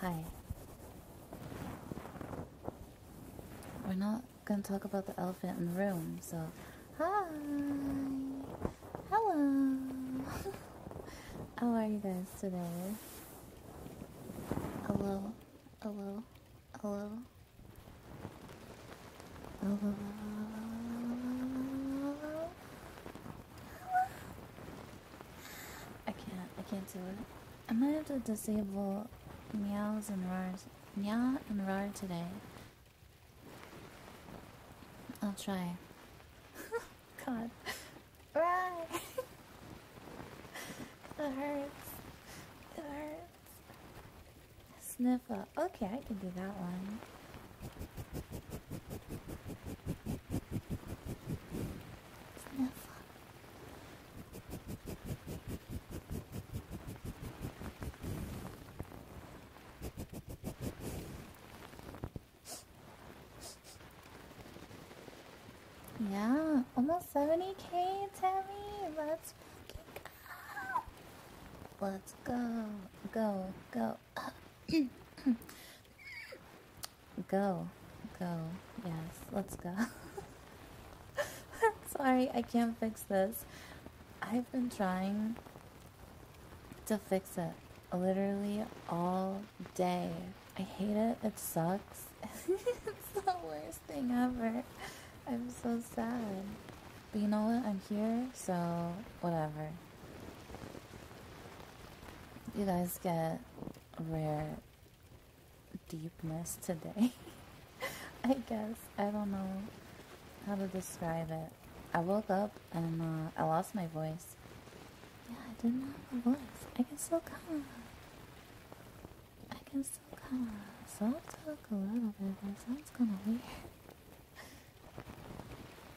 Hi. We're not going to talk about the elephant in the room, so. Hi! Hello! How are you guys today? Hello? Hello? Hello? Hello? I can't. I can't do it. I might have to disable meows and roars. Meow and roar today. I'll try. God. Right. it hurts. It hurts. Sniffle. Okay, I can do that one. Yeah, almost 70k, Tammy. Let's go. Let's go, go, go. go. go. Yes, let's go. Sorry, I can't fix this. I've been trying to fix it literally all day. I hate it. It sucks. it's the worst thing ever. I'm so sad. But you know what? I'm here, so whatever. You guys get rare deepness today. I guess. I don't know how to describe it. I woke up and uh, I lost my voice. Yeah, I didn't have a voice. I can still talk. I can still talk a little bit. That sounds gonna weird.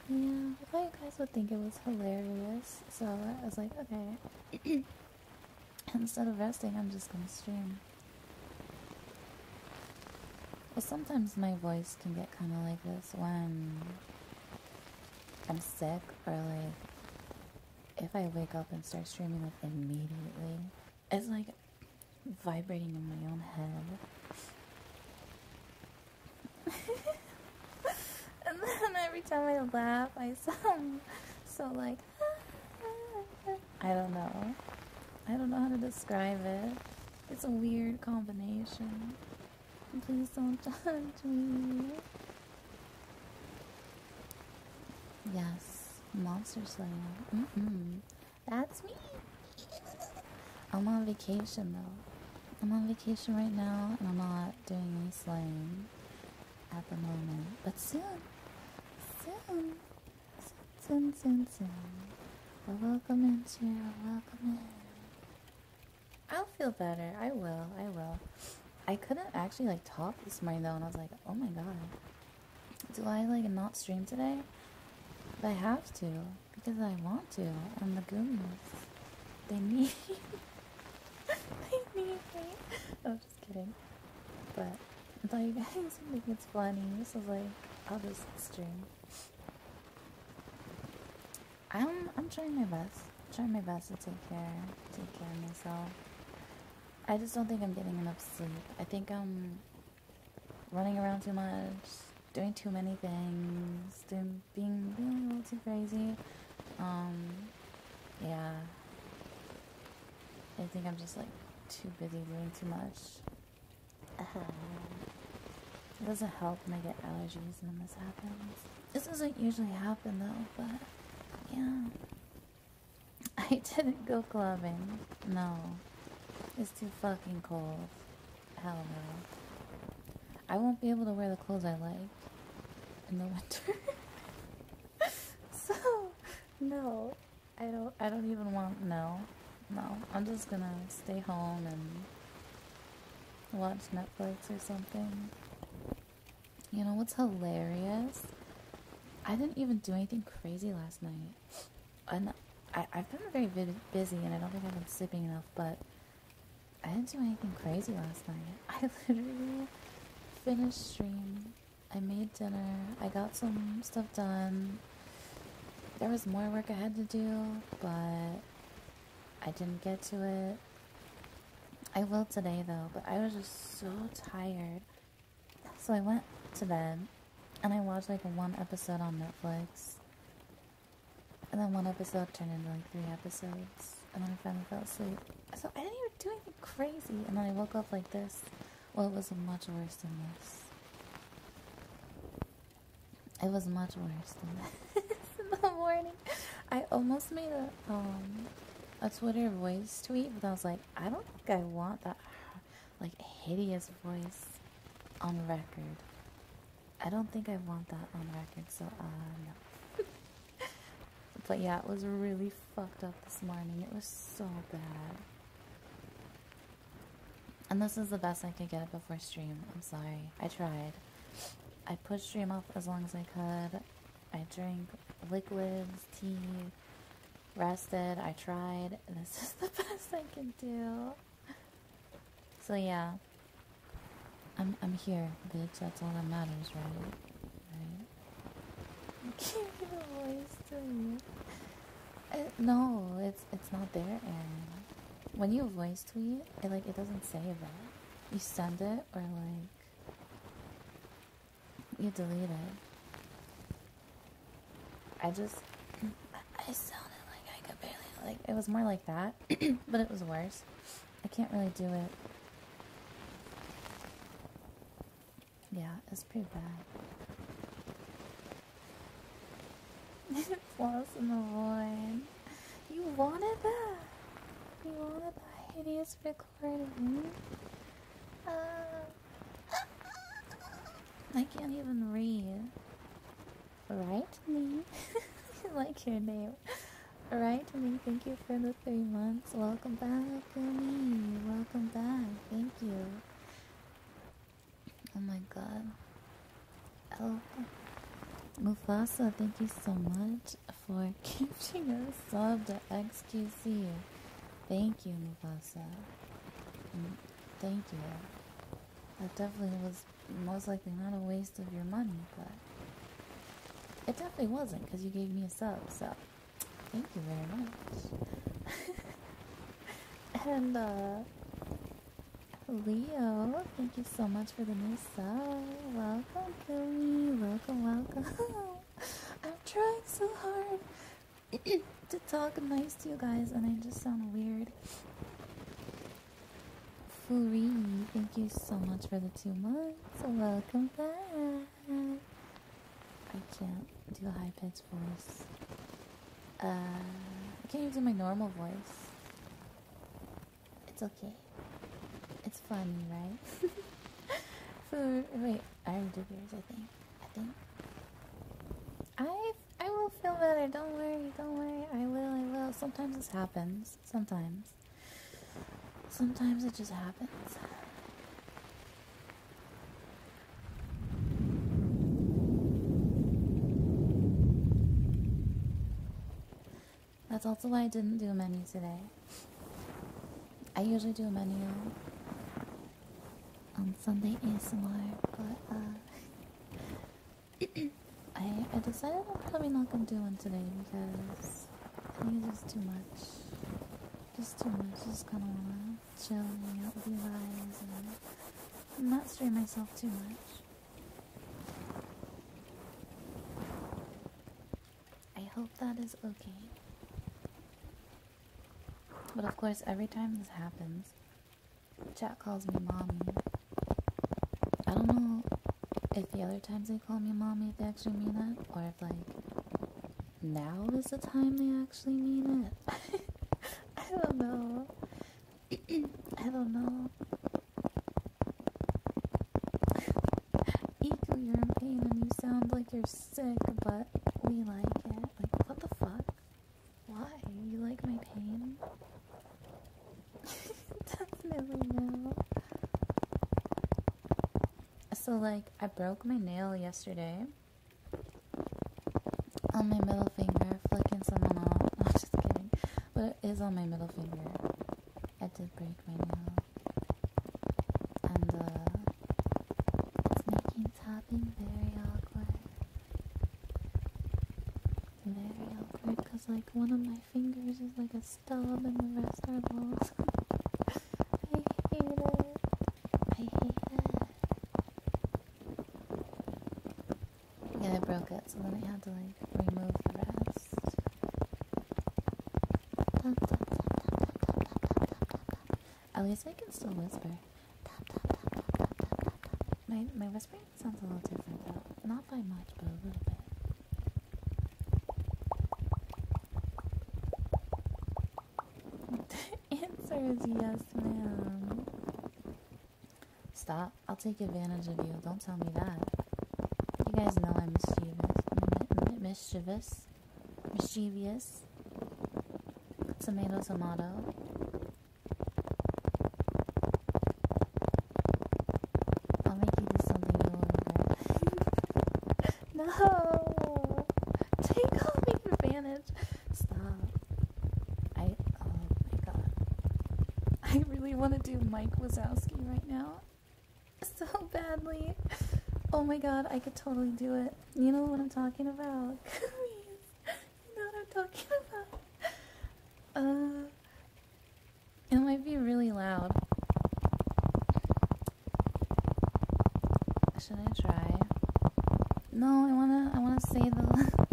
Yeah, I thought you guys would think it was hilarious, so I was like, okay. Instead of resting, I'm just gonna stream. Well, sometimes my voice can get kind of like this when I'm sick, or like if I wake up and start streaming like immediately, it's like vibrating in my own head and then every time I laugh, I sound so like. I don't know. I don't know how to describe it. It's a weird combination. Please don't judge me. Yes, Monster Slayer. Mm -mm. That's me. I'm on vacation though. I'm on vacation right now and I'm not doing any slaying at the moment, but soon, soon, soon, soon, soon, soon. welcome into, Cheryl. Welcome in. I'll feel better. I will. I will. I couldn't actually like talk this morning though, and I was like, oh my god, do I like not stream today? But I have to because I want to, and the Goonies, they need. I'm just kidding. But, like, I think it's funny, This is like, all this just stream. I'm, I'm trying my best. I'm trying my best to take care, take care of myself. I just don't think I'm getting enough sleep. I think I'm running around too much, doing too many things, being a little too crazy. Um, yeah. I think I'm just like too busy doing too much. Uh-huh. it doesn't help when I get allergies and this happens. This doesn't usually happen though, but yeah. I didn't go clubbing. No. It's too fucking cold. Hell no. I won't be able to wear the clothes I like in the winter. so, no, I don't. I don't even want no, no. I'm just gonna stay home and watch Netflix or something. You know what's hilarious? I didn't even do anything crazy last night. And I, I've been very busy, and I don't think I've been sleeping enough, but I didn't do anything crazy last night. I literally finished stream. I made dinner. I got some stuff done. There was more work I had to do, but I didn't get to it. I will today though, but I was just so tired. So I went to bed and I watched like one episode on Netflix. And then one episode turned into like three episodes. And then I finally fell asleep. So I didn't even do anything crazy. And then I woke up like this. Well, it was much worse than this. It was much worse than this. In the morning, I almost made a um a Twitter voice tweet, but I was like, I don't think I want that like hideous voice on record. I don't think I want that on record, so uh, no. but yeah, it was really fucked up this morning. It was so bad. And this is the best I could get before stream. I'm sorry. I tried. I pushed stream off as long as I could. I drank liquids, tea, rested. I tried. This is the best I can do. So yeah, I'm I'm here, bitch. That's all that matters, right? Right? I can't give a voice to you. Uh, no, it's it's not there, Aaron. When you voice tweet, it like it doesn't say that. You send it or like you delete it. I just I sounded like I could barely like it was more like that, but it was worse. I can't really do it. Yeah, it's pretty bad. Floss in the void. You wanted that? You wanted that hideous recording? Uh, I can't even read. Write me. like your name. Alright, I mean, thank you for the three months. Welcome back, Gumi. Welcome back. Thank you. Oh my god. Oh. Mufasa, thank you so much for keeping us up to XQC. Thank you, Mufasa. Mm, thank you. That definitely was most likely not a waste of your money, but it definitely wasn't because you gave me a sub, so thank you very much. and, uh, Leo, thank you so much for the new sub. Welcome, Kumi. Welcome, welcome. I'm trying so hard to talk nice to you guys, and I just sound weird. Free, thank you so much for the two months. Welcome back. I can't do a high pitched voice. Uh, I can't even do my normal voice. It's okay. It's funny, right? Food. Wait, I already did I think. I think. I I will feel better. Don't worry. Don't worry. I will. I will. Sometimes this happens. Sometimes. Sometimes it just happens. That's also why I didn't do a menu today. I usually do a menu on Sunday ASMR, but uh, I, I decided I'm probably not gonna do one today because I think it's just too much. Just too much. Just kind of wanna chill hang out with you guys and not strain myself too much. I hope that is okay. But of course, every time this happens, chat calls me mommy. I don't know if the other times they call me mommy, if they actually mean that, or if like now is the time they actually mean it. I don't know. I don't know. Eco, you pain and you sound like you're sick, but we like it. Like, what the fuck? Why? You like my pain? Definitely no. So, like, I broke my nail yesterday on my middle finger, flicking someone off. I'm just kidding. But it is on my middle finger. I did break my nail. And, uh, it's making tapping very awkward. Very awkward because, like, one of my fingers is like a stub and the rest are balls. I hate it. I hate it. Yeah, I broke it, so then I had to like remove the rest. At least I can still whisper. My, my whispering sounds a little different though. Not by much, but a little bit the answer is yes, ma'am. Stop. I'll take advantage of you. Don't tell me that. You guys know I'm mischievous. mischievous. Mischievous. Tomato, tomato. I'll make you do something you no longer. no! Take all me advantage. Stop. I, oh my god. I really want to do Mike Wazowski right now. So badly. Oh my god, I could totally do it. You know what I'm talking about. You know what I'm talking about. Uh, it might be really loud. Should I try? No, I wanna I wanna say the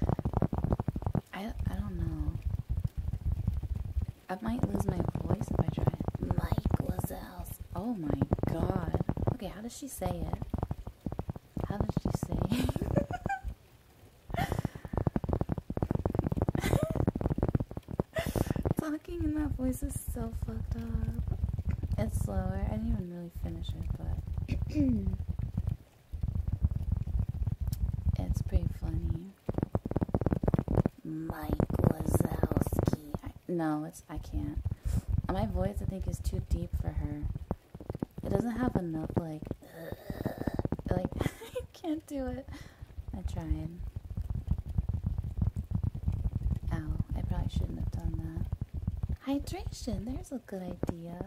I I don't know. I might lose my voice if I try Mike Wazels. Oh my god. Okay, how does she say it? How does she say Talking in that voice is so fucked up. It's slower. I didn't even really finish it, but it's pretty funny. Mike Wazowski. I, no, it's I can't. My voice, I think, is too deep for her. It doesn't have enough like, like I can't do it. I try and. Ow, I probably shouldn't have done that. Hydration, there's a good idea.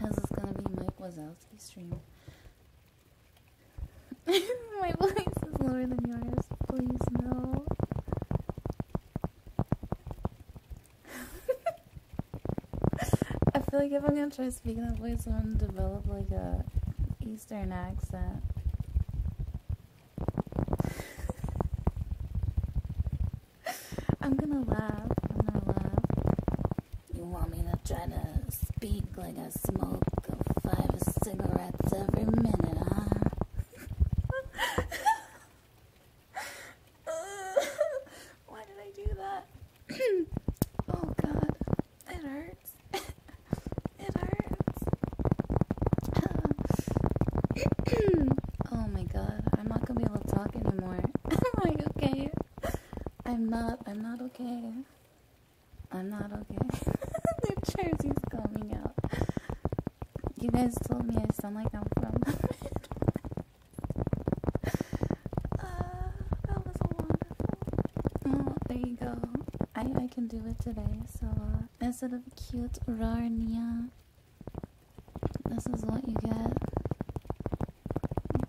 This is gonna be Mike Wazowski stream. My voice is lower than yours. Please no. I feel like if I'm gonna try speaking that voice, I'm gonna develop like a Eastern accent. I'm gonna laugh. I'm gonna laugh. You want me to try to speak like I smoke five cigarettes every minute, huh? Why did I do that? oh god, it hurts. it hurts. oh my god, I'm not gonna be able to talk anymore. I'm like, okay. I'm not, I'm not okay. I'm not okay. New Jersey's coming out. You guys told me I sound like I'm from uh, that was wonderful. Oh, there you go. I I can do it today. So uh, instead of cute Rarnia, this is what you get.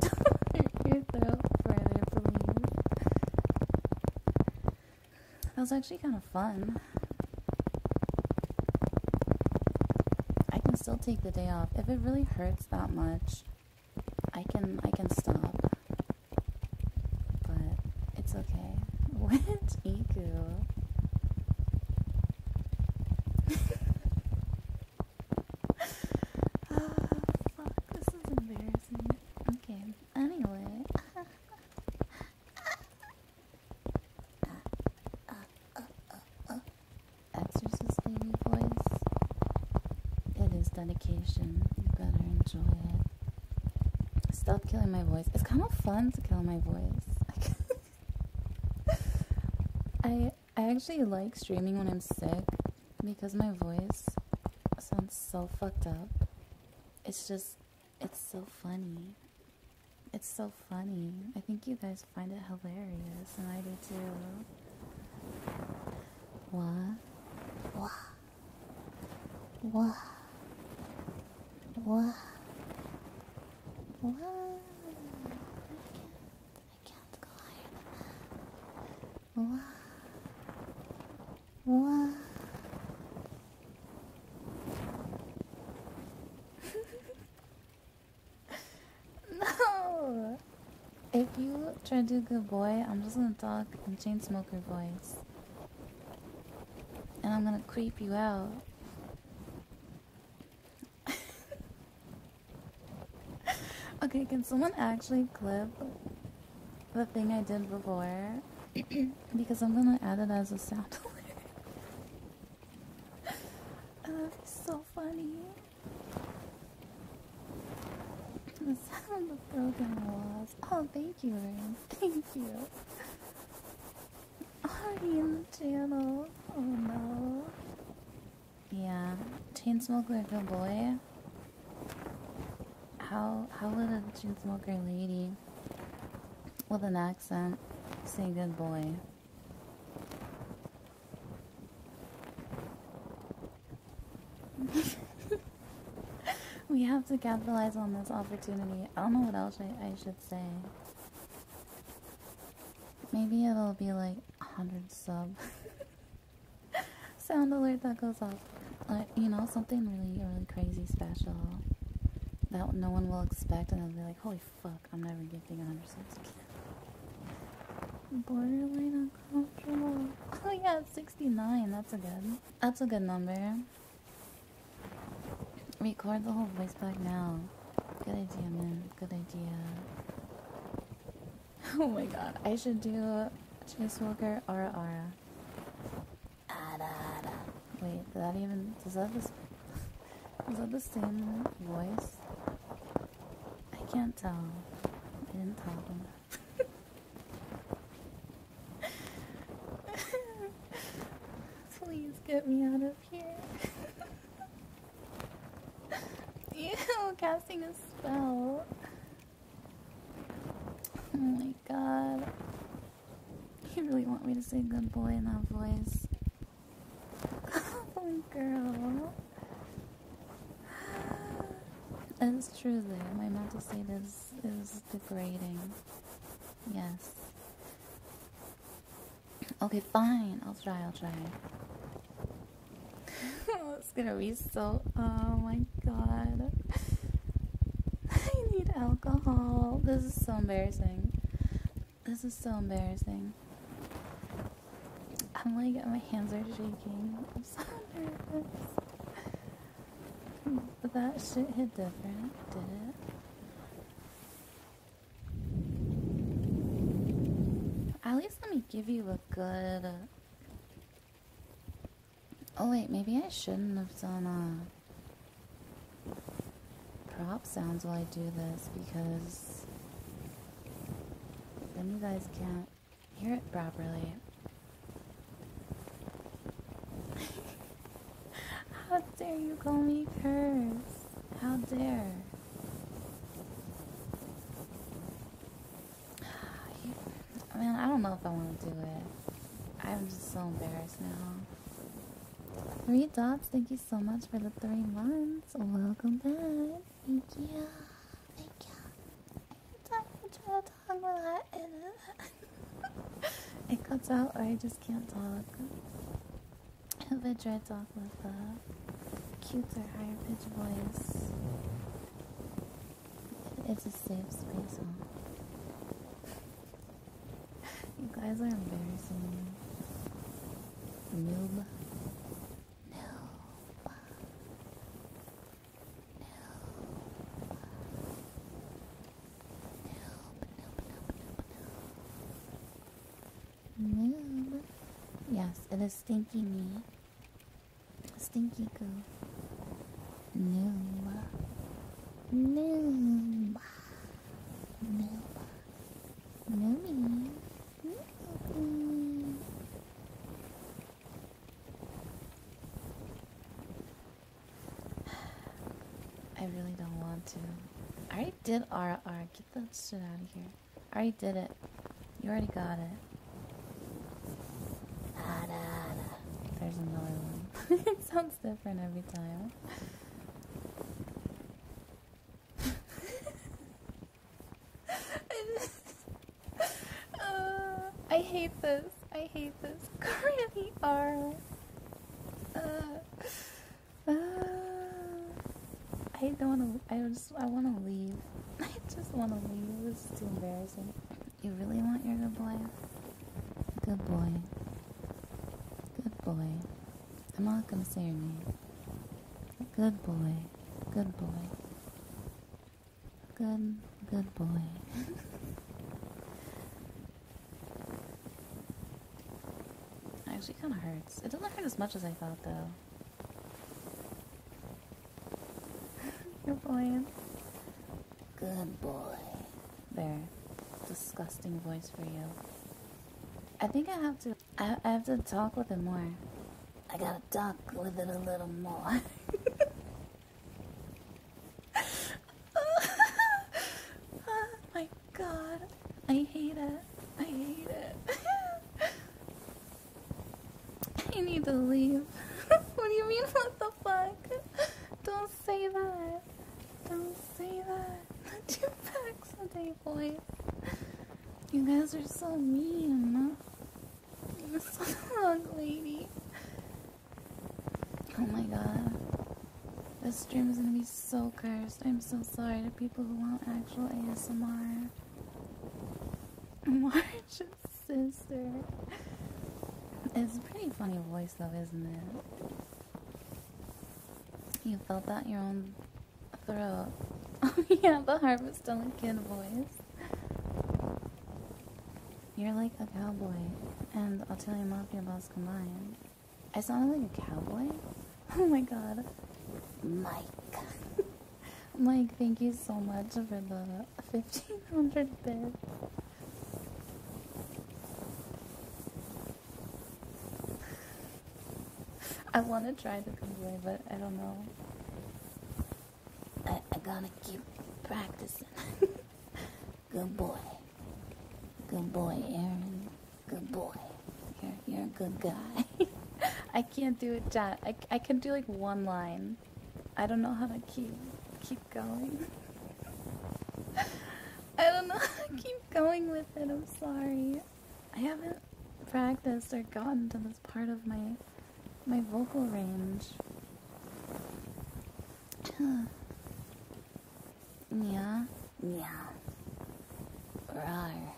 Your throat further, please. That was actually kind of fun. I can still take the day off. If it really hurts that much, I can I can stop. But it's okay. What Iku? oh, fuck, this is embarrassing. Okay, anyway. exorcist lady voice. It is dedication. You better enjoy it. Stop killing my voice. It's kind of fun to kill my voice. I I actually like streaming when I'm sick because my voice sounds so fucked up. It's just it's so funny. It's so funny. I think you guys find it hilarious, and I do too. What? What? What? What? What? I can't. go higher than that. no! If you try to do good boy, I'm just gonna talk in chain smoker voice. And I'm gonna creep you out. okay, can someone actually clip the thing I did before? because I'm gonna add it as a sample. oh, it's so funny. The sound of broken walls. Oh, thank you, Rain. Thank you. Already in the channel. Oh no. Yeah, chain like a boy. How how would a chain Chainsmoker lady with an accent say good boy? we have to capitalize on this opportunity. I don't know what else I, I should say. Maybe it'll be like 100 sub. Sound alert that goes off. Uh, you know, something really, really crazy special that no one will expect, and they'll be like, holy fuck, I'm never giving 100 subs again. Borderline uncomfortable. Oh yeah, 69, that's a good, that's a good number. Record the whole voice back now. Good idea, man, good idea. Oh my god, I should do Chase Walker Aura Aura. Wait, does that even, does that, the, is that the same voice? I can't tell. I didn't tell them. Please get me out of here. Ew, casting a spell. Oh my god. You really want me to say good boy in that voice? oh, girl. That's truly, my mental state this is degrading. Yes. Okay, fine. I'll try, I'll try. Oh, it's gonna be so. Oh my god. I need alcohol. This is so embarrassing. This is so embarrassing. I'm like, my hands are shaking. I'm so nervous. But that shit hit different, did it? At least let me give you a good. Oh, wait, maybe I shouldn't have done that. Uh, prop sounds while I do this because then you guys can't hear it properly. How dare you call me curse? How dare? Man, I don't know if I want to do it. I'm just so embarrassed now. Three dots, thank you so much for the three ones. So welcome back. Thank you. Thank you. Time to try to talk a lot and it cuts out or I just can't talk. If I try to talk with a cuter, higher pitch voice, it's a safe space. Huh? You guys are embarrassing me. Noob. Noob. Noob. Noob, noob, noob, noob, noob. Noob. Yes, it is stinky me. Stinky goo. Noob. Noob. Noob. Noob. Noob. I really don't want to. I already did RR. Get that shit out of here. I already did it. You already got it. There's another one. it sounds different every time. Uh, I hate this. I hate this. Granny R. Uh, uh, I don't want to. I just. I want to leave. I just want to leave. This is too embarrassing. You really want your good boy? Good boy. Good boy. I'm not gonna say your name. Good boy. Good boy. Good, good boy. Actually, kind of hurts. It doesn't hurt as much as I thought, though. good boy. Good boy. There. Disgusting voice for you. I think I have to. I, I have to talk with him more. I gotta talk with it a little more. oh my god. I hate it. I hate it. I need to leave. what do you mean, what the fuck? Don't say that. Don't say that. Two packs a day, boy. You guys are so mean. You're so ugly, lady. Oh my god. This stream is gonna be so cursed. I'm so sorry to people who want actual ASMR. Marge's sister. It's a pretty funny voice though, isn't it? You felt that your own Oh yeah, the harvest delicate boys. You're like a cowboy and I'll tell Italian mafia boss combined. I sounded like a cowboy? Oh my god. Mike. Mike, thank you so much for the 1500 bits. I want to try the giveaway, but I don't know. I, gotta keep practicing. good boy. Good boy, Aaron. Good boy. You're, you're a good guy. I can't do it, Dad. I, I can do like one line. I don't know how to keep keep going. I don't know how to keep going with it. I'm sorry. I haven't practiced or gotten to this part of my my vocal range. yeah, yeah. Rawr.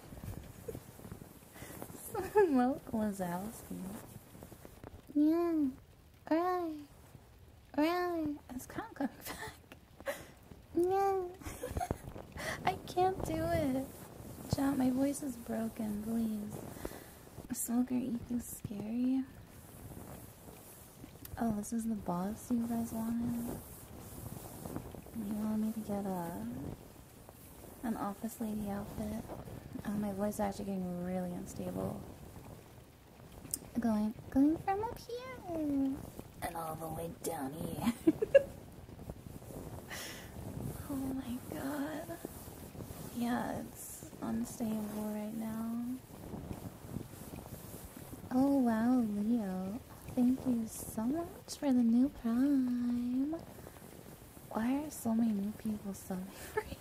Smoke Wazowski. Yeah. Right. Right. It's kind of coming back. No, I can't do it. John, my voice is broken, please. Smoker you Eco Scary. Oh, this is the boss you guys wanted? You want me to get a an office lady outfit? Oh, my voice is actually getting really unstable. Going, going from up here and all the way down here. oh my god. Yeah, it's unstable right now. Oh wow, Leo. Thank you so much for the new prime. Why are so many new people subbing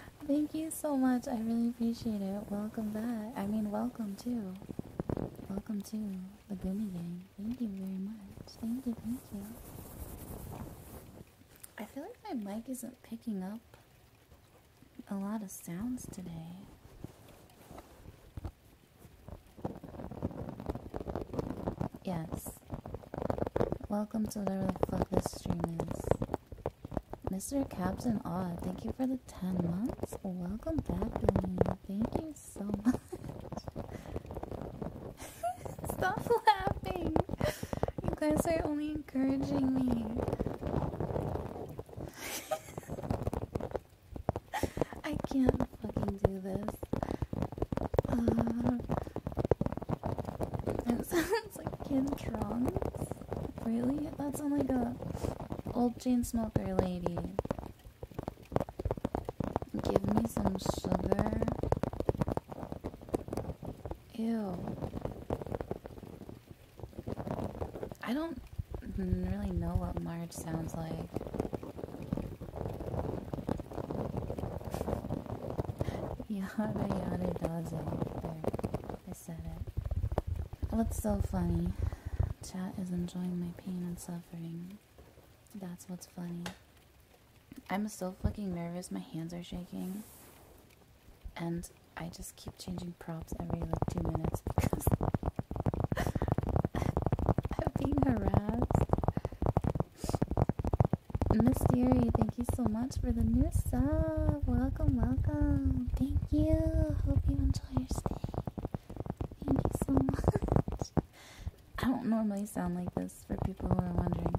Thank you so much. I really appreciate it. Welcome back. I mean, welcome to. Welcome to the Goomy Gang. Thank you very much. Thank you, thank you. I feel like my mic isn't picking up a lot of sounds today. Yes. Welcome to whatever the fuck this stream is. Mr. Captain Aw. thank you for the 10 months. Welcome back, Lane. Thank you so much. Stop laughing. You guys are only encouraging me. I can't fucking do this. it sounds like Kid Trunks. Really? That sounds like a oh old chain smoker lady. Give me some sugar. Ew. I don't really know what Marge sounds like. yada yada does I said it. What's so funny? Chat is enjoying my pain and suffering. That's what's funny. I'm so fucking nervous. My hands are shaking. And I just keep changing props every like two minutes because I'm being harassed. Miss Mystery, thank you so much for the new sub. Welcome, welcome. Thank you. Hope you enjoy your stay. Thank you so much. I don't normally sound like this for people who are wondering.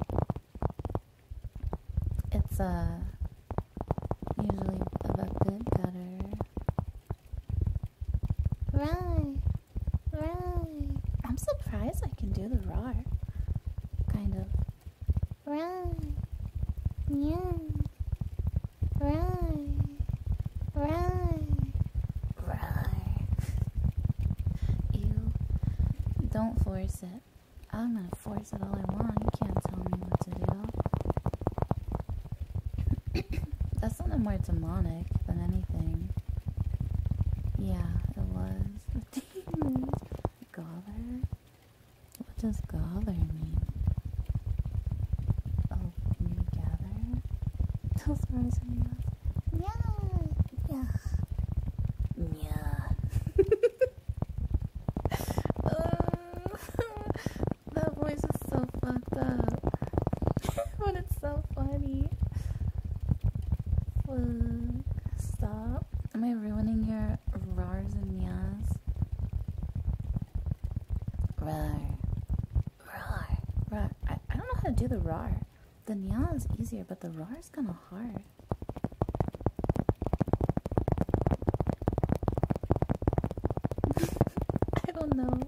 It's uh, usually a bit better. Right, right. I'm surprised I can do the raw, kind of. Right, yeah. Right, right. Right. You don't force it. I'm gonna force it all I want. You can't tell me what to do. that sounded more demonic than anything. Yeah, it was. The demons. gather. What does gather mean? Oh, can you gather? Those words are nuanced. Yeah. Yeah. uh, that voice is so fucked up. but it's so funny. Stop. Am I ruining your rars and yas? Rar. Rar. Rar. I, I don't know how to do the rar. The nya is easier, but the rar is kind of hard. I don't know.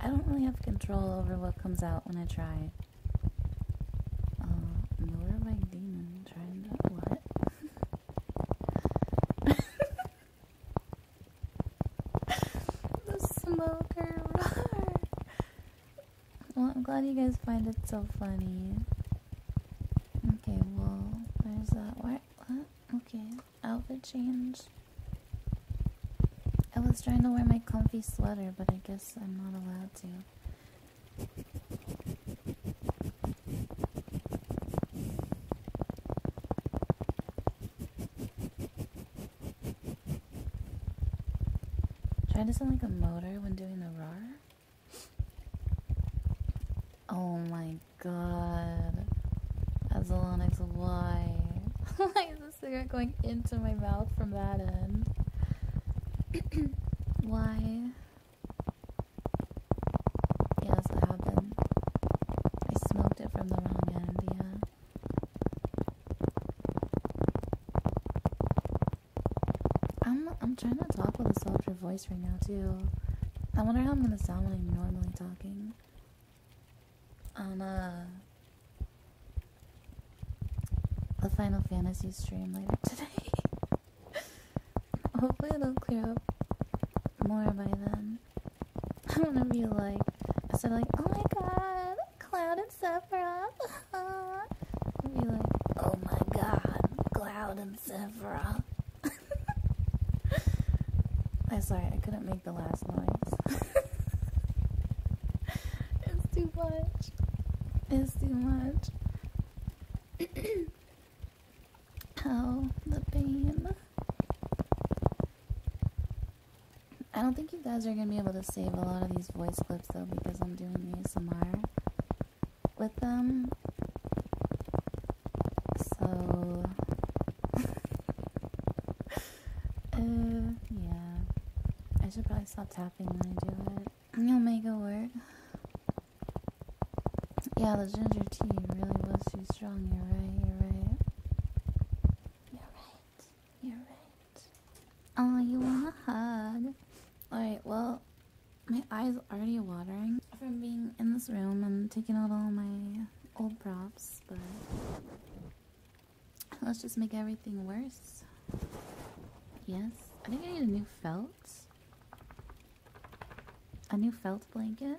I don't really have control over what comes out when I try. Uh, nowhere by demon. Trying to what? the smoker roar. Well, I'm glad you guys find it so funny. Okay, well, there's that. What? what? Okay, outfit change. I was trying to wear my comfy sweater, but I guess I'm not allowed to. Try to sound like a motor when doing the roar. Oh my god. That's why. Why is the cigarette going into my mouth from that end? why? Yes, that happened. I smoked it from the wrong end, yeah. I'm I'm trying to talk with a softer voice right now too. I wonder how I'm gonna sound when I'm normally talking. On a uh, a Final Fantasy stream later today. Hopefully it'll clear up more by then again. I want to be like, instead of like, oh my god, Cloud and Sephiroth. be like, oh my god, Cloud and Sephiroth. I'm sorry, I couldn't make the last noise. it's too much. It's too much. oh, the pain. I don't think you guys are going to be able to save a lot of these voice clips though because I'm doing the ASMR with them. So, uh, yeah. I should probably stop tapping when I do it. You'll make it work. Yeah, the ginger tea really was too strong. You're right, you're right. You're right. You're right. Oh, you want a hug? Alright, well, my eyes are already watering from being in this room and taking out all my old props, but let's just make everything worse. Yes, I think I need a new felt. A new felt blanket.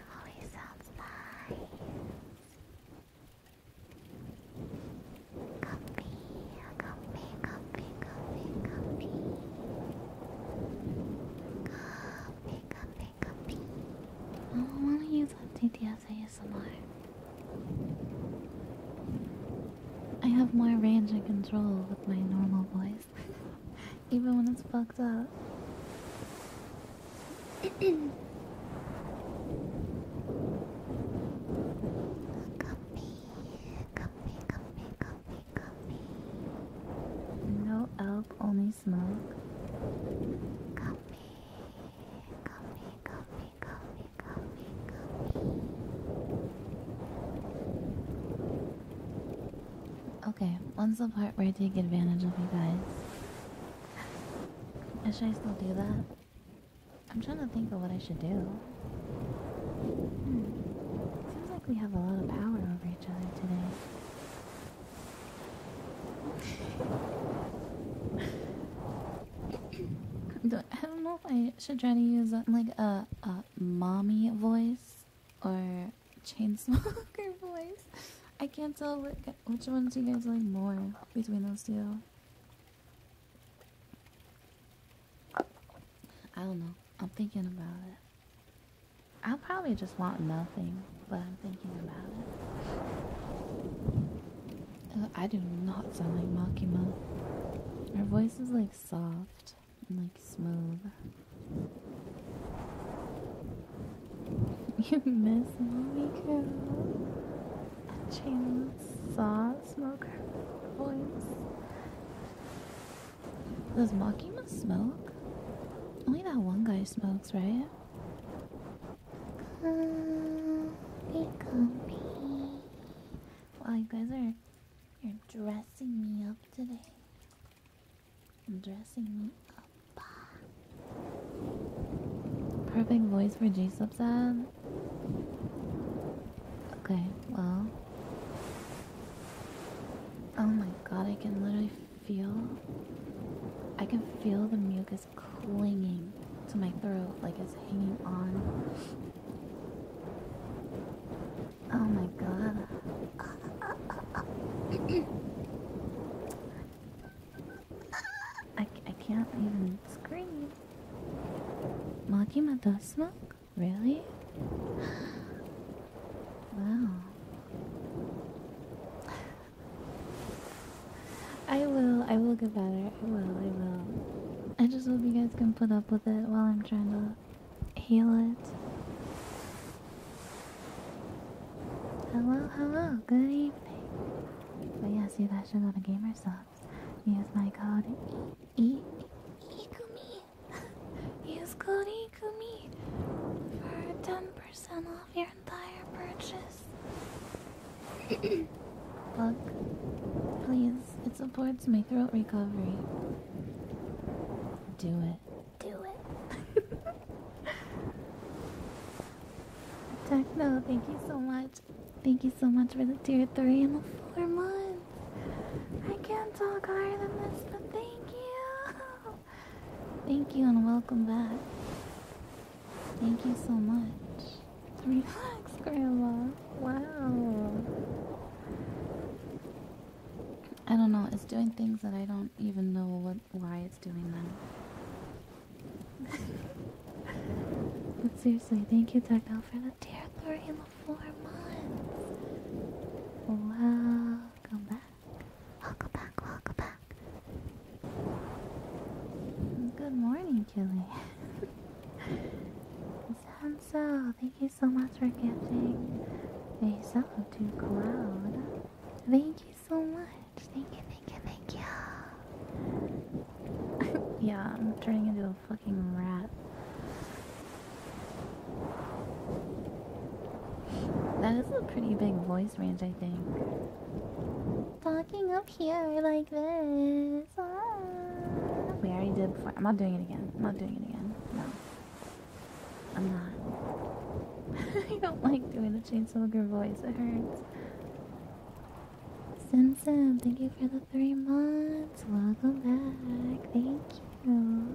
always sounds nice. Comfy, comfy, comfy, comfy, comfy. Comfy, comfy, comfy. don't want to use FTTS ASMR. I have more range and control with my normal voice, even when it's fucked up. Comfy, comfy, comfy, comfy, comfy. No elf, only smoke. Comfy, comfy, comfy, comfy, comfy, comfy. Okay, when's the part where I take advantage of you guys? Should I still do that? I'm trying to think of what I should do. Hmm. Seems like we have a lot of power over each other today. I don't know if I should try to use like a, a mommy voice or Chainsmoker voice. I can't tell what, which ones you guys like more between those two. I don't know. I'm thinking about it. I probably just want nothing, but I'm thinking about it. Uh, I do not sound like Makima. Her voice is like soft and like smooth. You miss mommy girl. A chainsaw smoker voice. Does Makima smoke? Only that one guy smokes, right? Uh, Comfy, Wow, you guys are you're dressing me up today. Dressing me up. Perfect voice for G Sub's ad. Okay, well. Oh my god, I can literally feel. I can feel the mucus clinging to my throat like it's hanging on. Oh my god. I, I can't even scream. Makima does smoke? Really? Wow. I will, I will get better. I will, I will. I just hope you guys can put up with it while I'm trying to heal it. Hello, hello, good evening. But yes, you guys should go to Gamer Subs. Use my code E Ikumi. Use code Ikumi for ten percent off your entire purchase. Look, please, it supports my throat recovery. Do it do it. Techno, thank you so much. Thank you so much for the tier 3 and the 4 months. I can't talk higher than this, but thank you. Thank you and welcome back. Thank you so much. Relax, Grandma. Wow. I don't know, it's doing things that I don't even know what why it's doing that. but seriously, thank you, Duckbell, for the tear glory in the four months. Welcome back. Welcome back, welcome back. Good morning, Julie. Sanso, thank you so much for gifting a sub to Cloud. Thank you so much. Thank you, thank you, thank you. yeah, I'm turning into a fucking rat. That is a pretty big voice range, I think. Talking up here like this. Ah. We already did before. I'm not doing it again. I'm not doing it again. No. I'm not. I don't like doing this but she needs to voice. It hurts. Sim thank you for the three months. Welcome back. Thank you.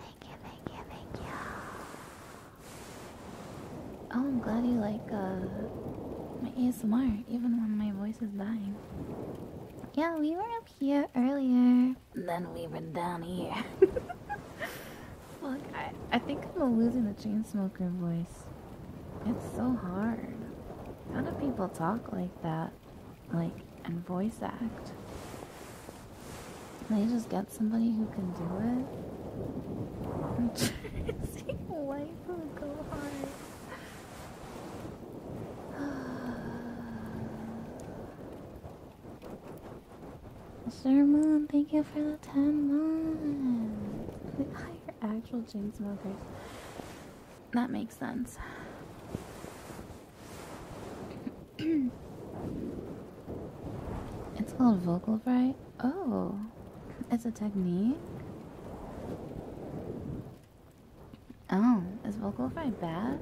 Thank you, thank you, thank you. Oh, I'm glad you like uh, my ASMR, even when my voice is dying. Yeah, we were up here earlier. Then we were down here. Look, I, I think I'm losing the chain smoker voice. It's so hard. How do people talk like that? Like, and voice act? They just get somebody who can do it? I'm trying life go hard. Sir Moon, thank you for the 10 months. They hire actual chain smokers. That makes sense. it's called vocal fry. Oh, it's a technique. Oh, is vocal fry bad?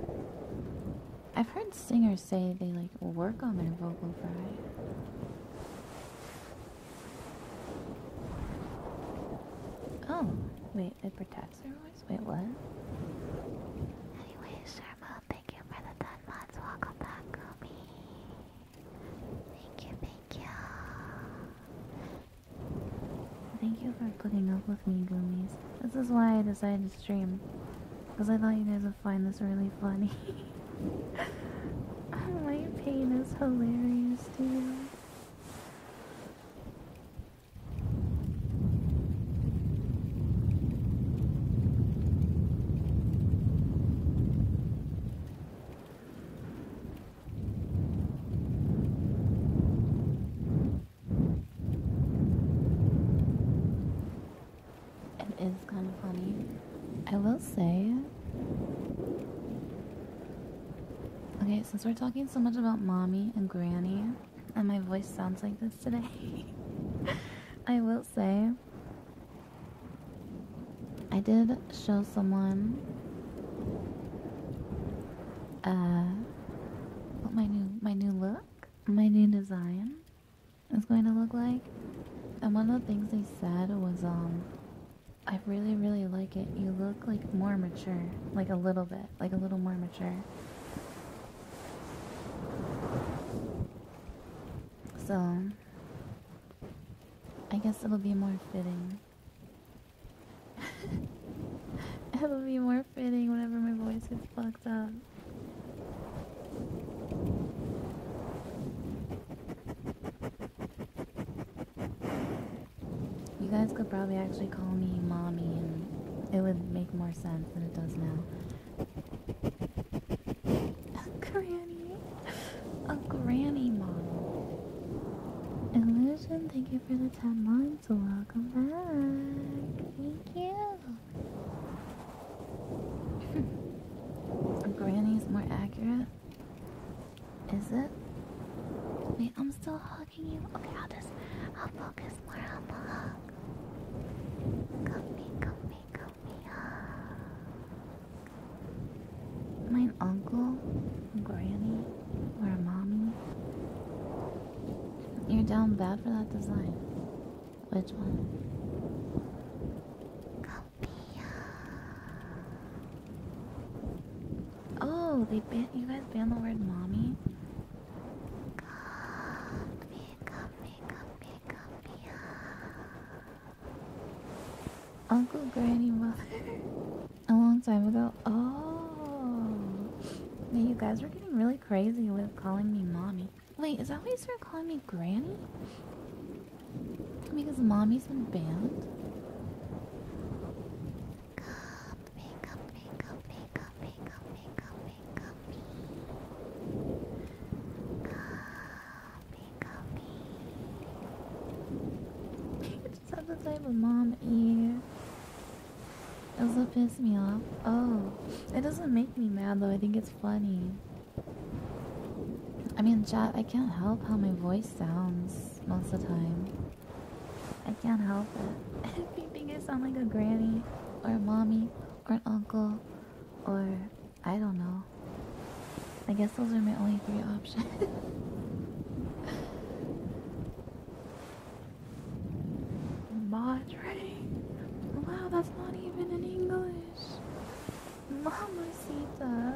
I've heard singers say they like work on their vocal fry. Oh, wait, it protects their voice? Wait, what? Anyway, Sharma, thank you for the 10 Welcome back, Gumi. Thank you, thank you. Thank you for putting up with me, Goomies. This is why I decided to stream. Because I thought you guys would also find this really funny. My pain is hilarious to you. It is kind of funny. I will say. Okay, since we're talking so much about mommy and granny, and my voice sounds like this today, I will say. I did show someone uh my new my new look, my new design. It's going to look like. And one of the things they said was, um, I really, really like it. You look like more mature, like a little bit, like a little more mature. So, I guess it'll be more fitting. it'll be more fitting whenever my voice is fucked up. You guys could probably actually call me mommy and it would make more sense than it does now. A granny. A granny mom. Illusion, thank you for the 10 months. Welcome back. Thank you. Hmm. Granny's more accurate. Is it? Wait, I'm still hugging you. Okay, I'll just I'll focus more on the hug. Comfy, comfy, comfy hug. My uncle, Granny, or mommy. You're down bad for that design. Which one? Come Oh, they ban you guys ban the word mommy. Uncle Granny a long time ago. Oh, yeah, you guys were getting really crazy with calling me mommy. Wait, is that why you started calling me Granny? Because mommy's been banned? Make up, just have the type of mom ear. That's what pissed me off. Oh, it doesn't make me mad though, I think it's funny. I mean, chat, I can't help how my voice sounds most of the time. I can't help it. if you think I sound like a granny, or a mommy, or an uncle, or I don't know. I guess those are my only three options. Madre. Wow, that's not even in English. Mama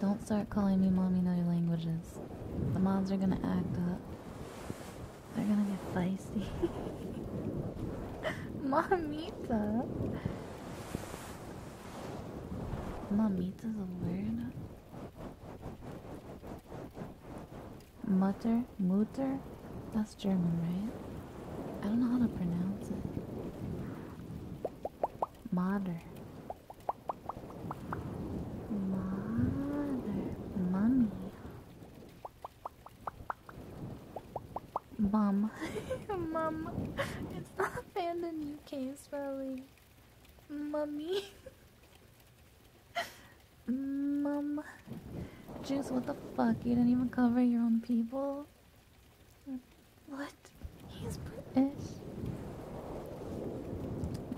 Don't start calling me mommy in other languages. The moms are gonna act up. They're gonna get feisty. Mamita. Mamita's a word. Mutter? Mutter? It's German, right? I don't know how to pronounce it. Mater. Mother. Mummy. Mum. Mum. It's not banned in UK spelling. Mummy. Mum. Juice, what the fuck? You didn't even cover your own people? What? He's British.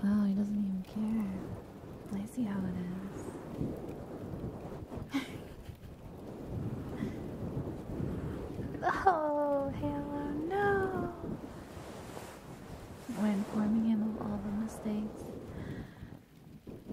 Wow, he doesn't even care. I see how it is. oh, Halo, no! When are informing him of all the mistakes.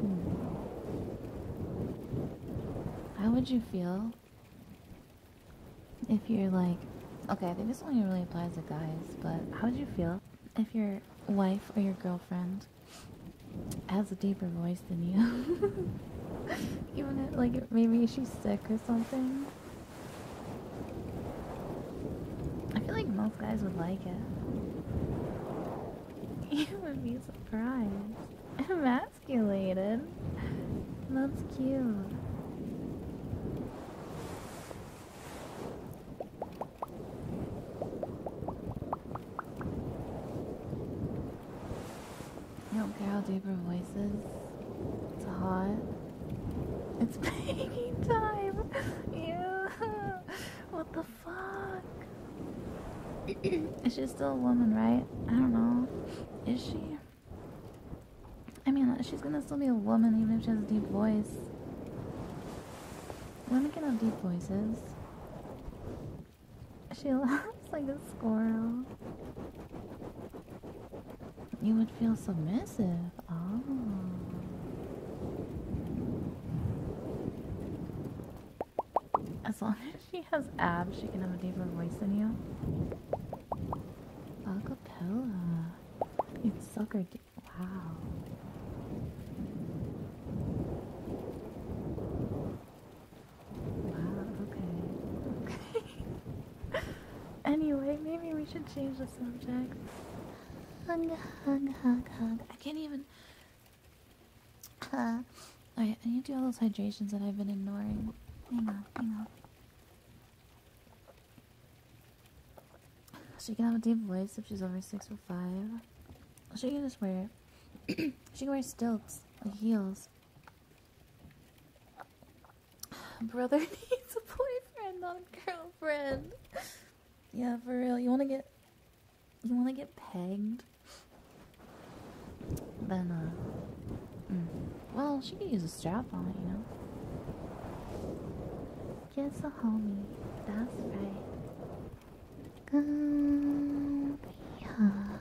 Hmm. How would you feel if you're like, okay, I think this only really applies to guys, but how would you feel if your wife or your girlfriend has a deeper voice than you? Even if, like, maybe she's sick or something. I feel like most guys would like it. You would be surprised. Emasculated. That's cute. You don't care how deep her voice is. It's hot. It's baking time. yeah. What the fuck? Is she still a woman, right? I don't know. Is she? I mean, she's gonna still be a woman even if she has a deep voice. Women can have deep voices. She laughs like a squirrel. You would feel submissive. Oh. As long as she has abs, she can have a deeper voice than you. Acapella. You suck her dick. Wow. Wow, okay. Okay. anyway, maybe we should change the subject. Hug, hug, hug, hug. I can't even. Huh. Alright, I need to do all those hydrations that I've been ignoring. Hang on, hang on. She can have a deep voice if she's over six foot five. She can just wear she can wear stilts, like heels. Brother needs a boyfriend, not a girlfriend. yeah, for real. You wanna get you want to get pegged? Then, uh, mm. well, she could use a strap on it, you know? Kiss a homie, that's right. Comfy, huh?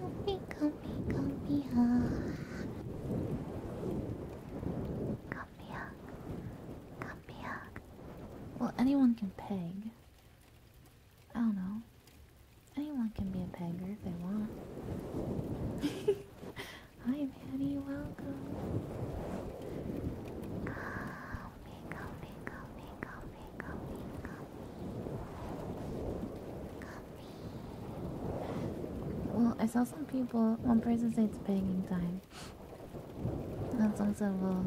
Comfy, comfy, comfy, huh? Comfy hug. Comfy hug. Well, anyone can peg. I don't know. Anyone can be a beggar if they want. Hi, Maddie, welcome. Coffee, coffee, coffee, coffee, coffee, coffee. Coffee. Well, I saw some people, one person said it's begging time boyfriend. And someone said, well,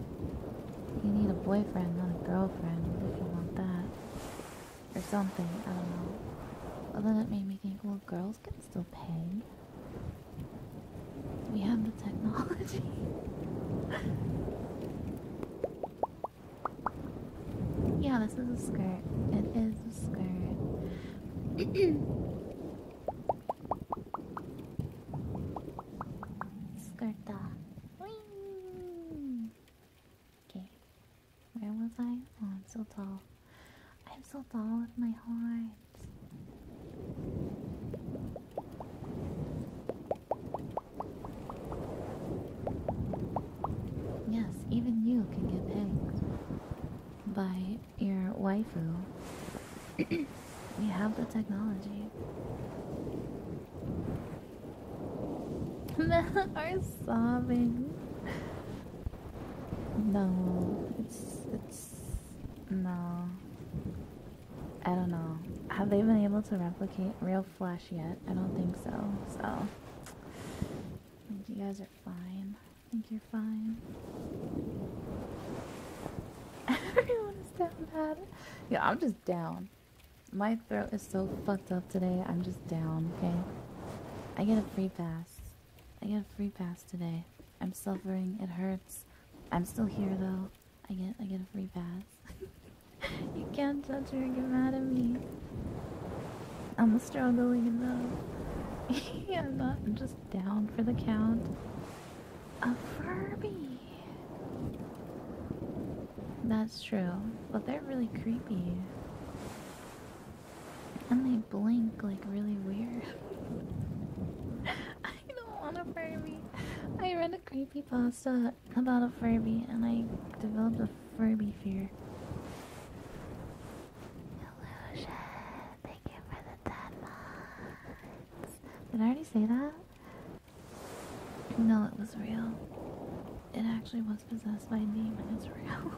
you need a boyfriend, not a girlfriend, if you want that. Or something, I don't know. Well, then it made me think, well, girls can still pay. We have the technology. yeah, this is a skirt. It is a skirt. Skirta. Okay. Where was I? Oh, I'm so tall. I'm so tall with my heart. Yes, even you can get pegged by your waifu. We have the technology. Men are sobbing. No, it's it's no. I don't know. Have they been able to replicate real flesh yet? I don't think so. So I think you guys are fine. I think you're fine. Everyone is down bad yeah, I'm just down. My throat is so fucked up today. I'm just down, okay? I get a free pass. I get a free pass today. I'm suffering. It hurts. I'm still here though. I get I get a free pass. you can't judge her get mad at me. I'm struggling enough. I'm not just down for the count. A Furby. That's true, but they're really creepy. And they blink like really weird. I don't want a Furby. I read a creepy pasta about a Furby and I developed a Furby fear. Did I already say that? No, it was real. It actually was possessed by a demon, it's real.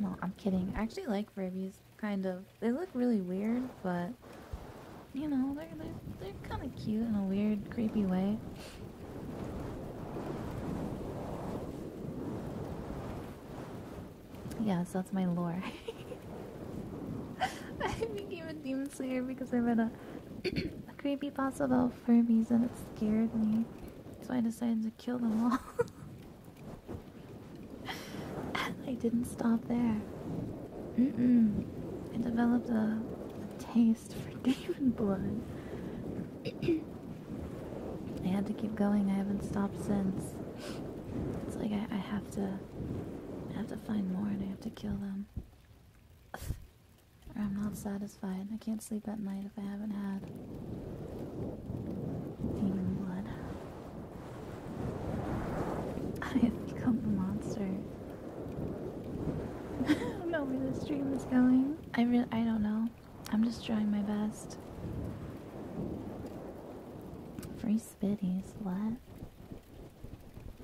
No, I'm kidding. I actually like Furbies, kind of they look really weird, but you know, they're they're, kind of cute in a weird, creepy way. Yeah, so that's my lore. I became a demon slayer because I read a, creepy pasta about Furbies and it scared me, so I decided to kill them all. I didn't stop there. I developed a, taste for demon blood. I had to keep going. I haven't stopped since. It's like I, I have to. I have to find more, and I have to kill them. or I'm not satisfied. I can't sleep at night if I haven't had demon blood. I have become a monster. I don't know where this dream is going. I really, I don't know. I'm just trying my best. Free spitties, what?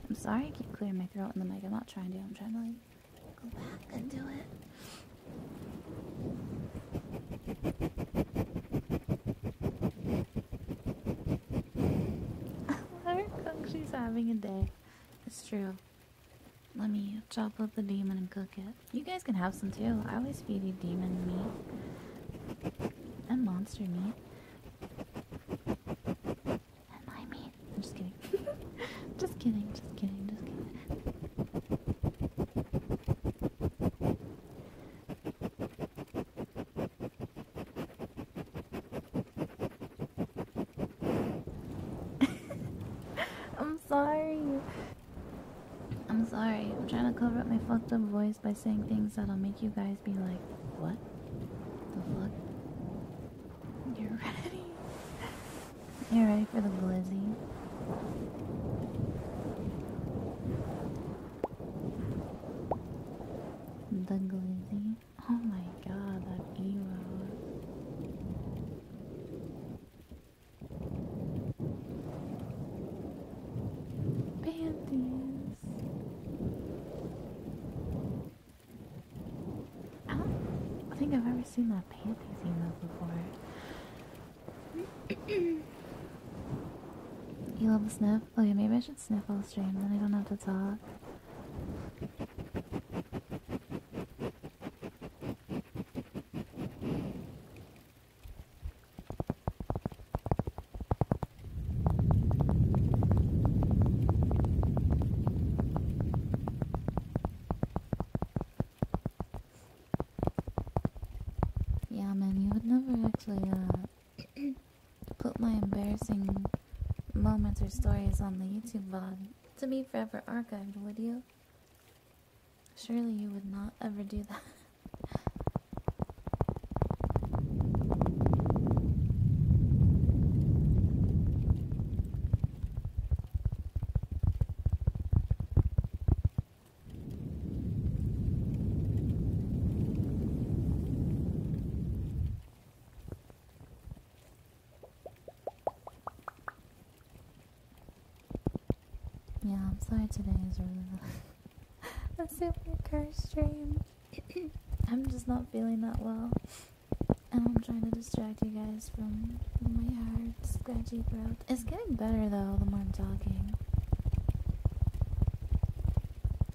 I'm sorry I keep clearing my throat in the mic. I'm not trying to. I'm trying to like go back and do it. Let her She's having a day. It's true. Let me chop up the demon and cook it. You guys can have some too. I always feed the demon meat and monster meat. And my meat. I'm just kidding. just kidding. Just kidding. Just kidding. I'm sorry. I'm sorry. I'm trying to cover up my fucked up voice by saying things that'll make you guys be like, what? The fuck? You're ready. You're ready for the glizzy. The glizzy. Oh my god, that Eeyore. Panties. I don't think I've ever seen that panties email before. you love the snow? sniff? Oh yeah, maybe I should sniff all stream, then I don't have to talk. Yeah, man, you would never actually, uh, put my embarrassing moments or stories on the YouTube blog to be forever archived, would you? Surely you would not ever do that. Yeah, I'm sorry today is really a super cursed stream. I'm just not feeling that well. And I'm trying to distract you guys from my hard, scratchy throat. It's getting better though, the more I'm talking.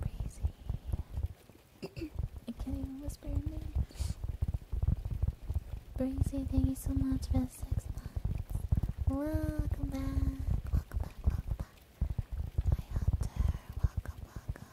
Breezy. can't whisper your name. thank you so much for the six months. Welcome back. Welcome back, welcome Hunter, welcome, welcome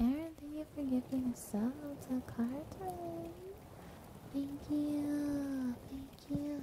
Aaron, thank you for giving a sub to Carter. Thank you. Thank you.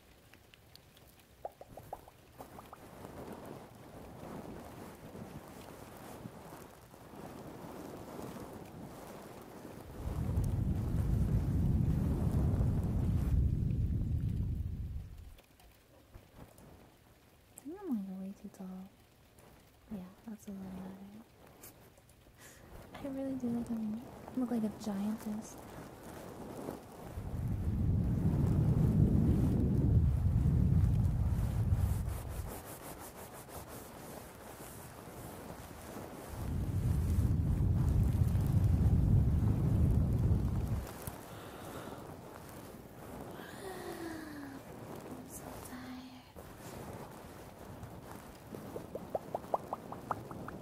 I'm going way too tall. Yeah, that's a little better. I really do look, like a giantess. I'm so tired.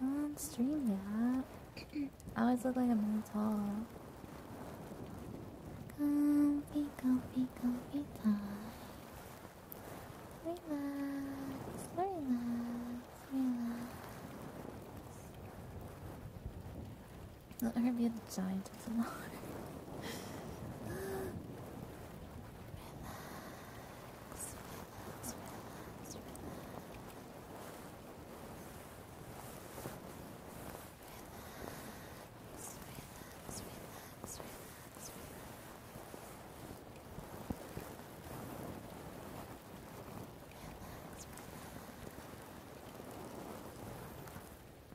On um, stream, yeah. I always look like I'm really tall. Comfy, comfy, comfy time. Relax, relax, relax. I'm Let her be a giant of the water. relax,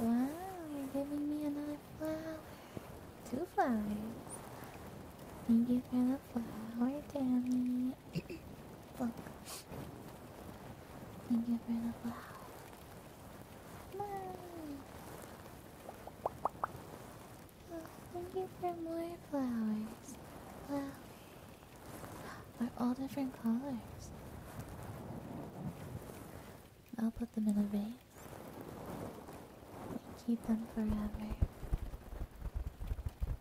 Wow, you're giving me another flower. Two flowers. Thank you for the flower, Danny. Look. You get rid of loud. thank you for more flowers. Flowers. are all different colors. I'll put them in a vase. Keep them forever.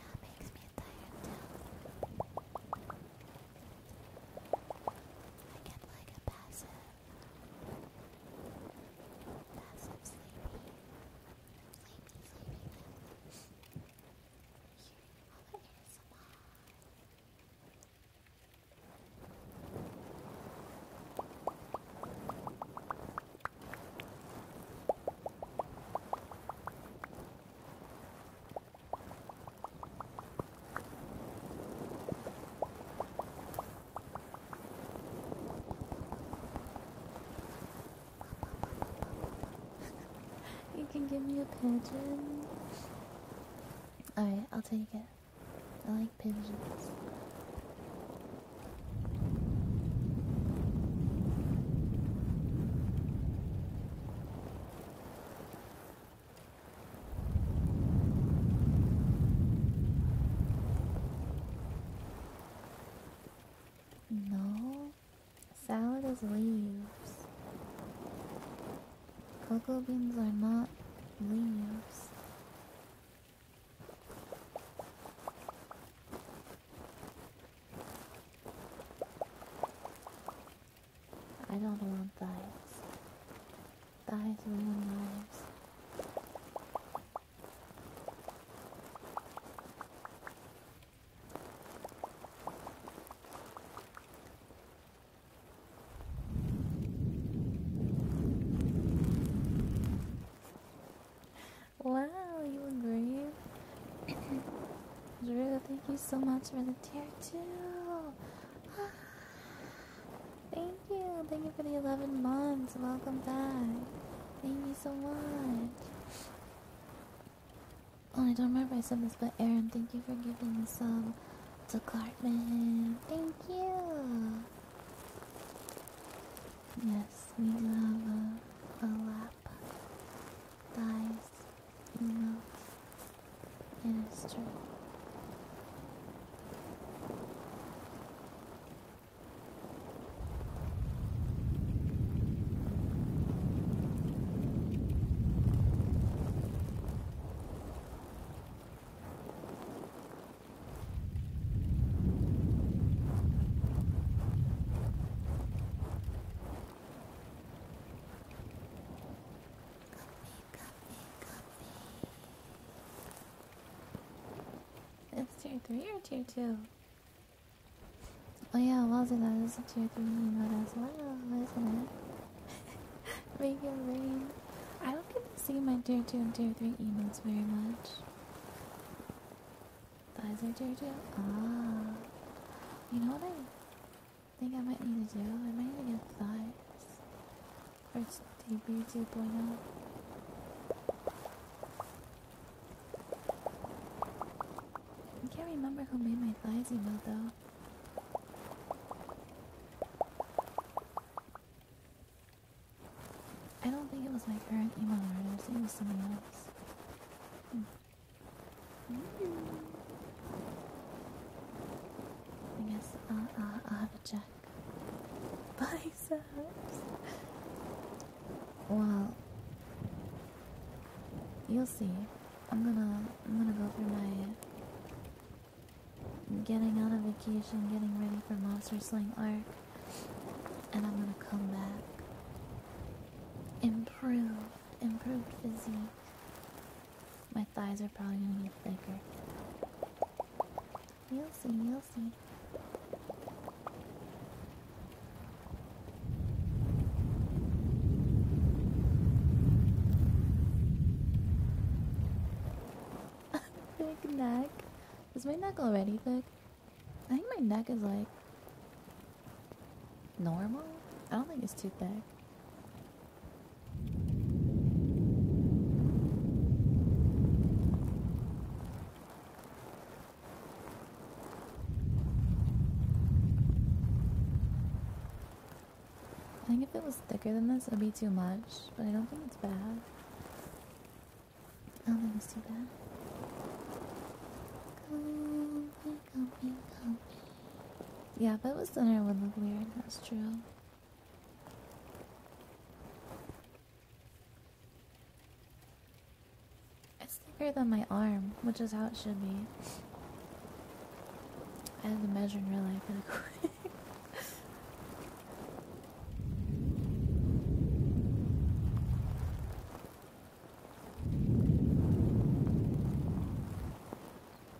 it makes me tired I get like a passive, passive sleepy, sleepy, sleepy. Hearing all the ASMR. Thank you you can give me a pigeon. Alright, I'll take it. I like pigeons. No, salad is leaves. Cocoa beans are not leaves. I don't want thighs. Thighs ruin lives. Wow, you agree? Drew, thank you so much for the tier two. thank you, thank you for the 11 months. Welcome back. Thank you so much. Oh, I don't remember I said this, but Aaron, thank you for giving some to Cartman. Thank you. Yes, we love a, a lap, thighs, emotes. It is true. That's 3 or tier 2? Oh yeah, was it that? It's a 3 emote as well, isn't it? Make rain. I don't get to see my tier 2 and tier 3 emails very much. Visor JoJo? Ah. You know what I think I might need to do? I might need to get thighs. For its debut 2.0. I can't remember who made my thighs email though. I don't think it was my current email address, it was something else. Hmm. I guess I'll, uh, uh, I'll, have a check. Biceps! Well, you'll see. I'm gonna, I'm gonna go through my getting out of vacation, getting ready for Monster slaying arc and I'm gonna come back. Improve, improved physique. My thighs are probably gonna get thicker. You'll see, you'll see. thick neck. Is my neck already thick? I think my neck is like normal. I don't think it's too thick. I think if it was thicker than this, it would be too much, but I don't think it's bad. I'll oh, never see that. Yeah, if it was thinner, would look weird. That's true. It's thicker than my arm, which is how it should be. I had to measure in real life really quick.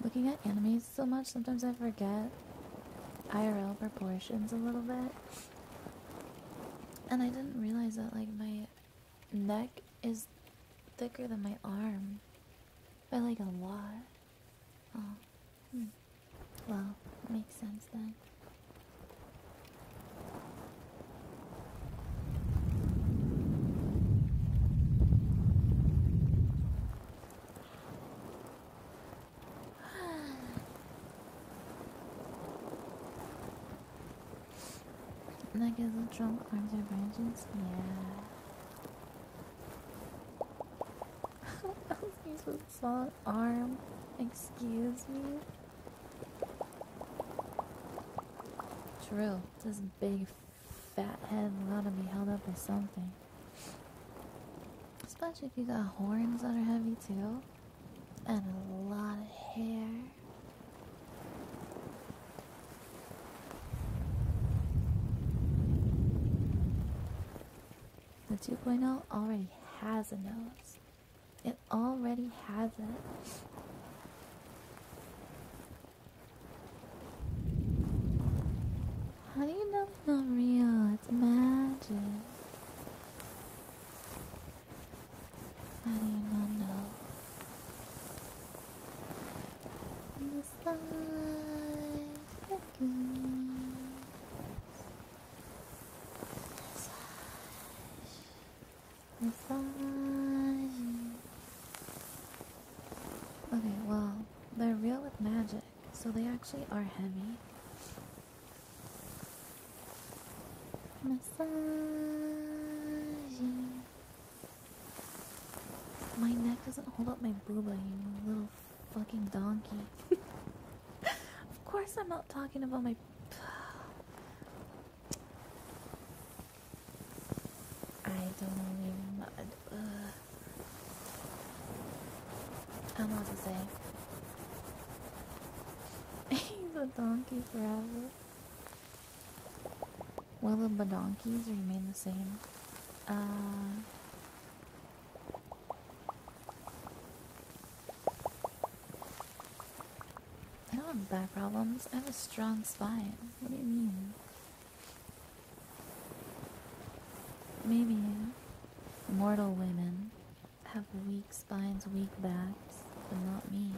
Looking at animes so much, sometimes I forget IRL proportions a little bit. And I didn't realize that, like, my neck is thicker than my arm. By, like, a lot. Oh. Hmm. Well, makes sense then like a little drunk arms of vengeance? Yeah. I was supposed arm. Excuse me? True, this big fat head gotta be held up by something. Especially if you got horns that are heavy too. And a lot of hair. The 2.0 already has a nose. It already has it. How do you know it's not real? It's magic. How do you not know? The side begins. Okay, well, they're real with magic, so they actually are heavy. Massaging. My neck doesn't hold up my booba, you little fucking donkey. of course, I'm not talking about my. I don't even. Uh, I don't to say. He's a donkey forever. Will the badonkeys remain the same? Uh, I don't have back problems. I have a strong spine. What do you mean? Maybe mortal women have weak spines, weak backs, but not me.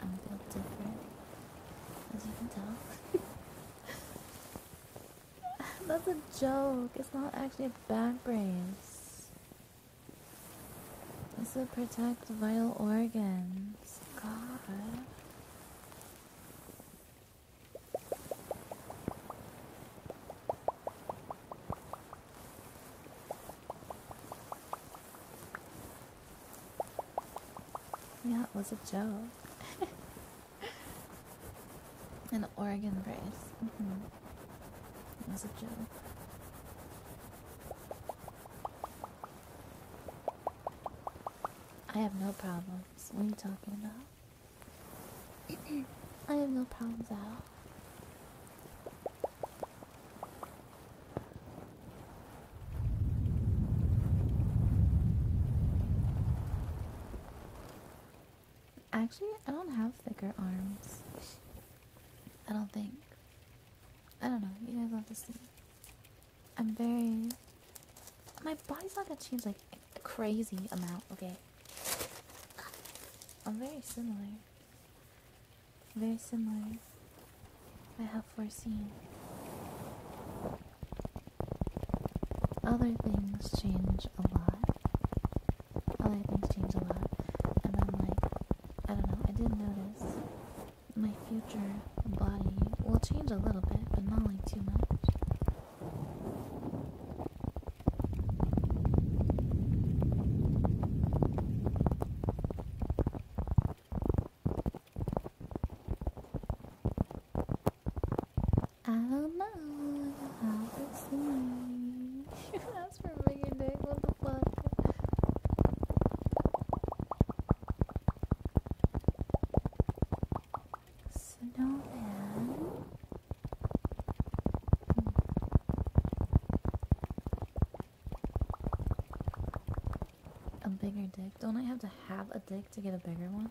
I'm built different, as you can tell. That's a joke. It's not actually a back brace. This will protect vital organs. God. Yeah, it was a joke. An organ brace. Mm-hmm. It was a joke. I have no problems. What are you talking about? I have no problems at all. Actually, I don't have thicker arms. I don't think. I don't know. You guys have to see. I'm very. My body's not gonna change like a crazy amount. Okay. I'm very similar. Very similar. I have foreseen. Other things change a lot. Other things change a lot, and I'm like, I don't know, I did not notice my future body will change a little bit, but not like too much. I don't know, i to see you asked for a bigger dick, what the fuck? Snowman. A bigger dick? Don't I have to have a dick to get a bigger one?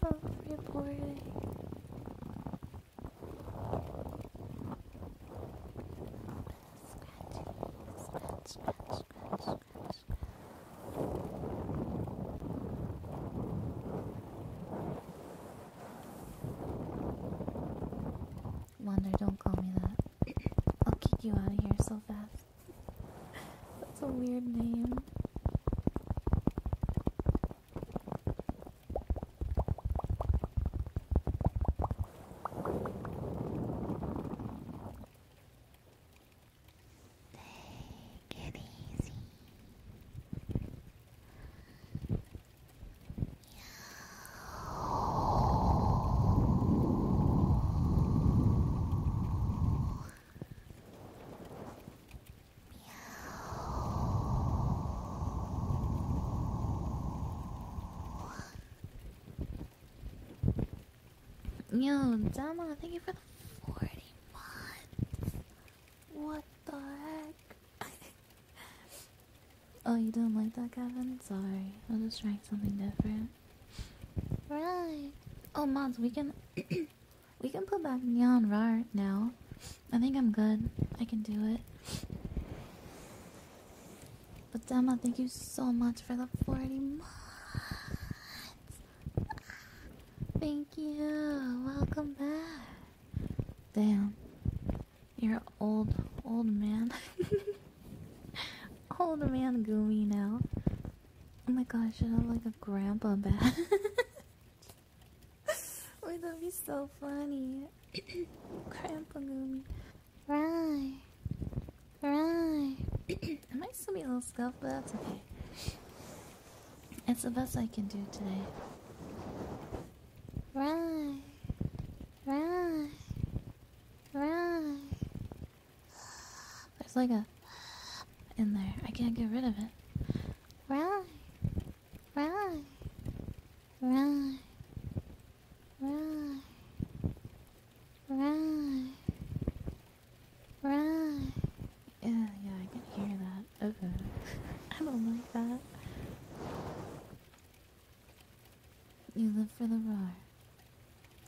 so rewarding. reporting? scratch, scratch, scratch, scratch. Scratch, scratch, Wander, don't call me that. I'll kick you out of here so fast. That's a weird name. Take it easy. Yo, Dama, thank you for the 40 months. What the heck? oh, you don't like that, Kevin? Sorry. I'll just try something different. Right. Oh, mods, we can we can put back Neon Rar now. I think I'm good. I can do it. But Dama, thank you so much for the 40 months. Thank you. Welcome back. Damn. You're old, old man. old man Goomy now. Oh my gosh, I have like a grandpa bat. Wait, that'd be so funny. grandpa Goomy. Right. Right. I might still be a little scuffed, but that's okay. It's the best I can do today. Right, right, right. There's like a in there. I can't get rid of it. Right, right, right, right, right, right. Yeah, yeah, I can hear that. Okay. I don't like that. You live for the roar,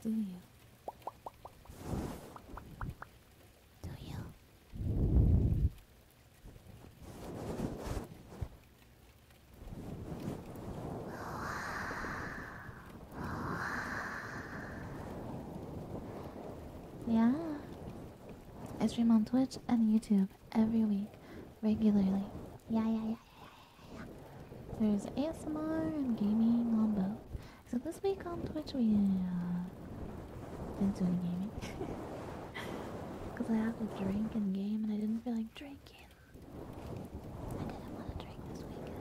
do you? Do you? Yeah. I stream on Twitch and YouTube every week, regularly. Yeah, yeah, yeah, yeah, yeah, yeah. There's ASMR and gaming on both. So this week on Twitch we uh, didn't do any gaming because I had to drink and game, and I didn't feel like drinking. I didn't want to drink this week.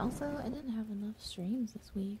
Also, I didn't have enough streams this week.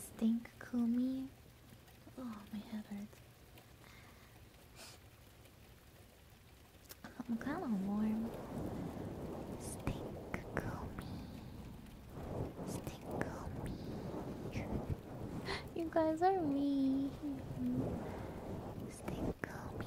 Stink Kumi. Oh, my head hurts. I'm kind of warm. Stink Kumi. Stink Kumi. you guys are me. Stink Kumi.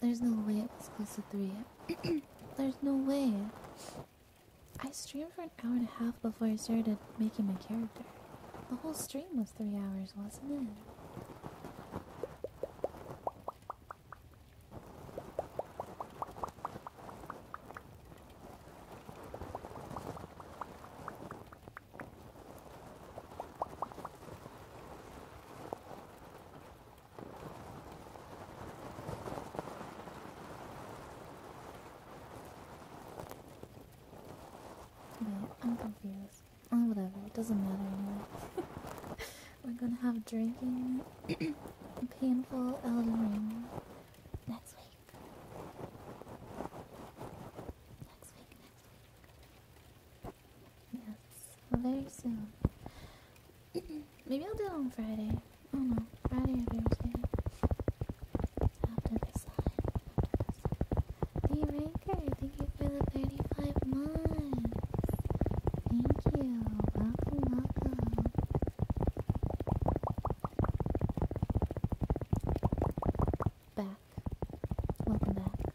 There's no way it was close to three. There's no way. I streamed for an hour and a half before I started making my character. The whole stream was three hours, wasn't it? Wait, I'm confused. Oh, whatever. It doesn't matter We're gonna have drinking, painful Elden Ring next week. Next week, next week. Yes, very soon. Maybe I'll do it on Friday. I don't know, Friday or Thursday. After this time. After Ranker, thank you for the 35 months. Thank you. welcome. Back. Welcome back.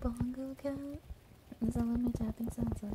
Bongo cat? Is that what my tapping sounds like?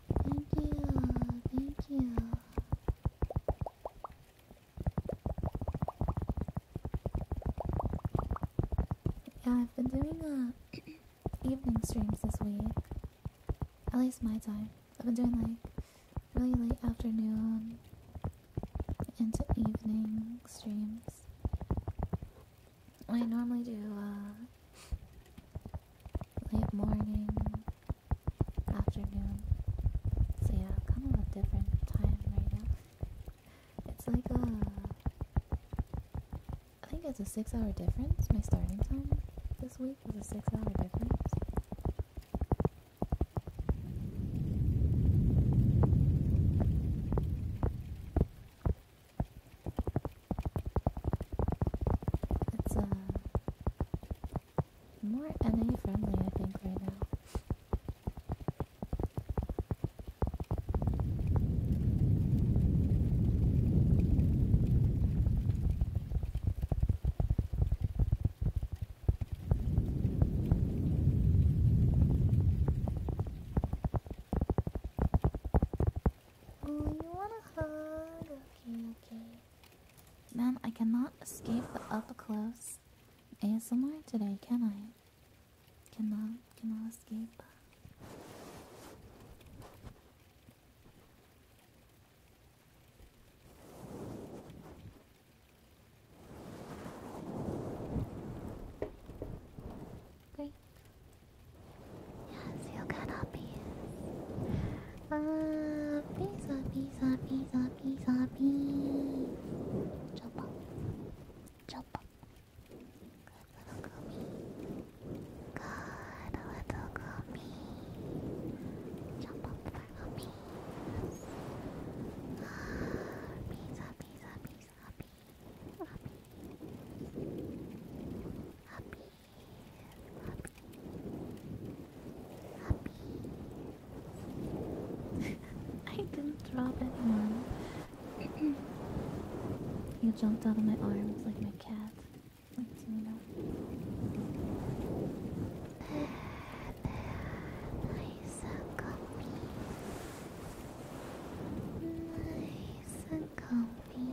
Thank you, thank you. Yeah, I've been doing uh, evening streams this week. At least my time. I've been doing like really late afternoon into evening streams. I normally do uh, late morning, afternoon. So yeah, kind of a different time right now. It's like a, I think it's a six-hour difference. My starting time this week is a six-hour difference. It's uh, more NA friendly, I think, right now. Oh, you want a hug? Okay, okay. Man, I cannot escape the up close ASMR today, can I? Cannot, cannot escape. Great. Yes, you got hobbies. Ah, uh, bees, bees, bees, bees, Jump up, jump up. Good little gummy. Good little gummy. Jump up for gummies. Ah, bees, bees, bees, bees, bees. Happy. I didn't drop anyone. you jumped out of my arms like my cat. Like, you know? Nice and comfy. Nice and comfy.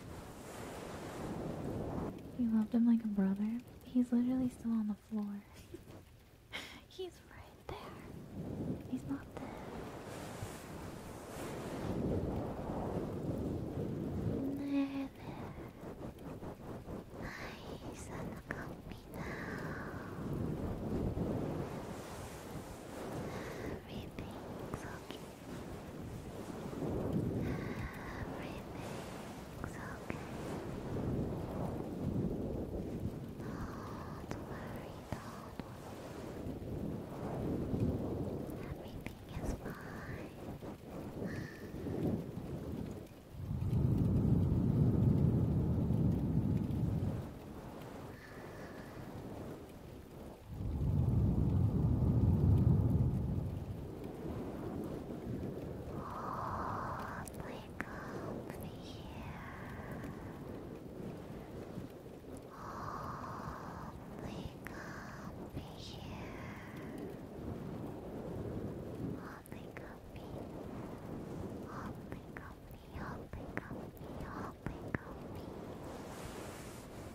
You loved him like a brother? He's literally still on the floor. He's right there. He's not dead. Everything's okay. Everything's okay. Don't worry, don't worry. Everything is fine like up here. Oh, like up here. Holy guppy, holy guppy, holy guppy, holy guppy.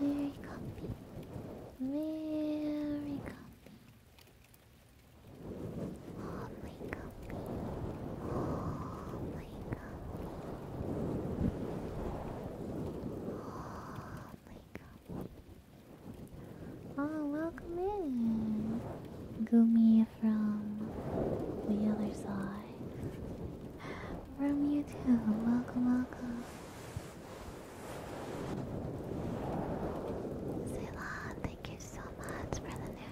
Very comfy. Very comfy. Oh comfy. Oh comfy. Oh comfy. Oh, welcome in. Gumi from the other side. From you too. Welcome, welcome. Ceylon, thank you so much for the new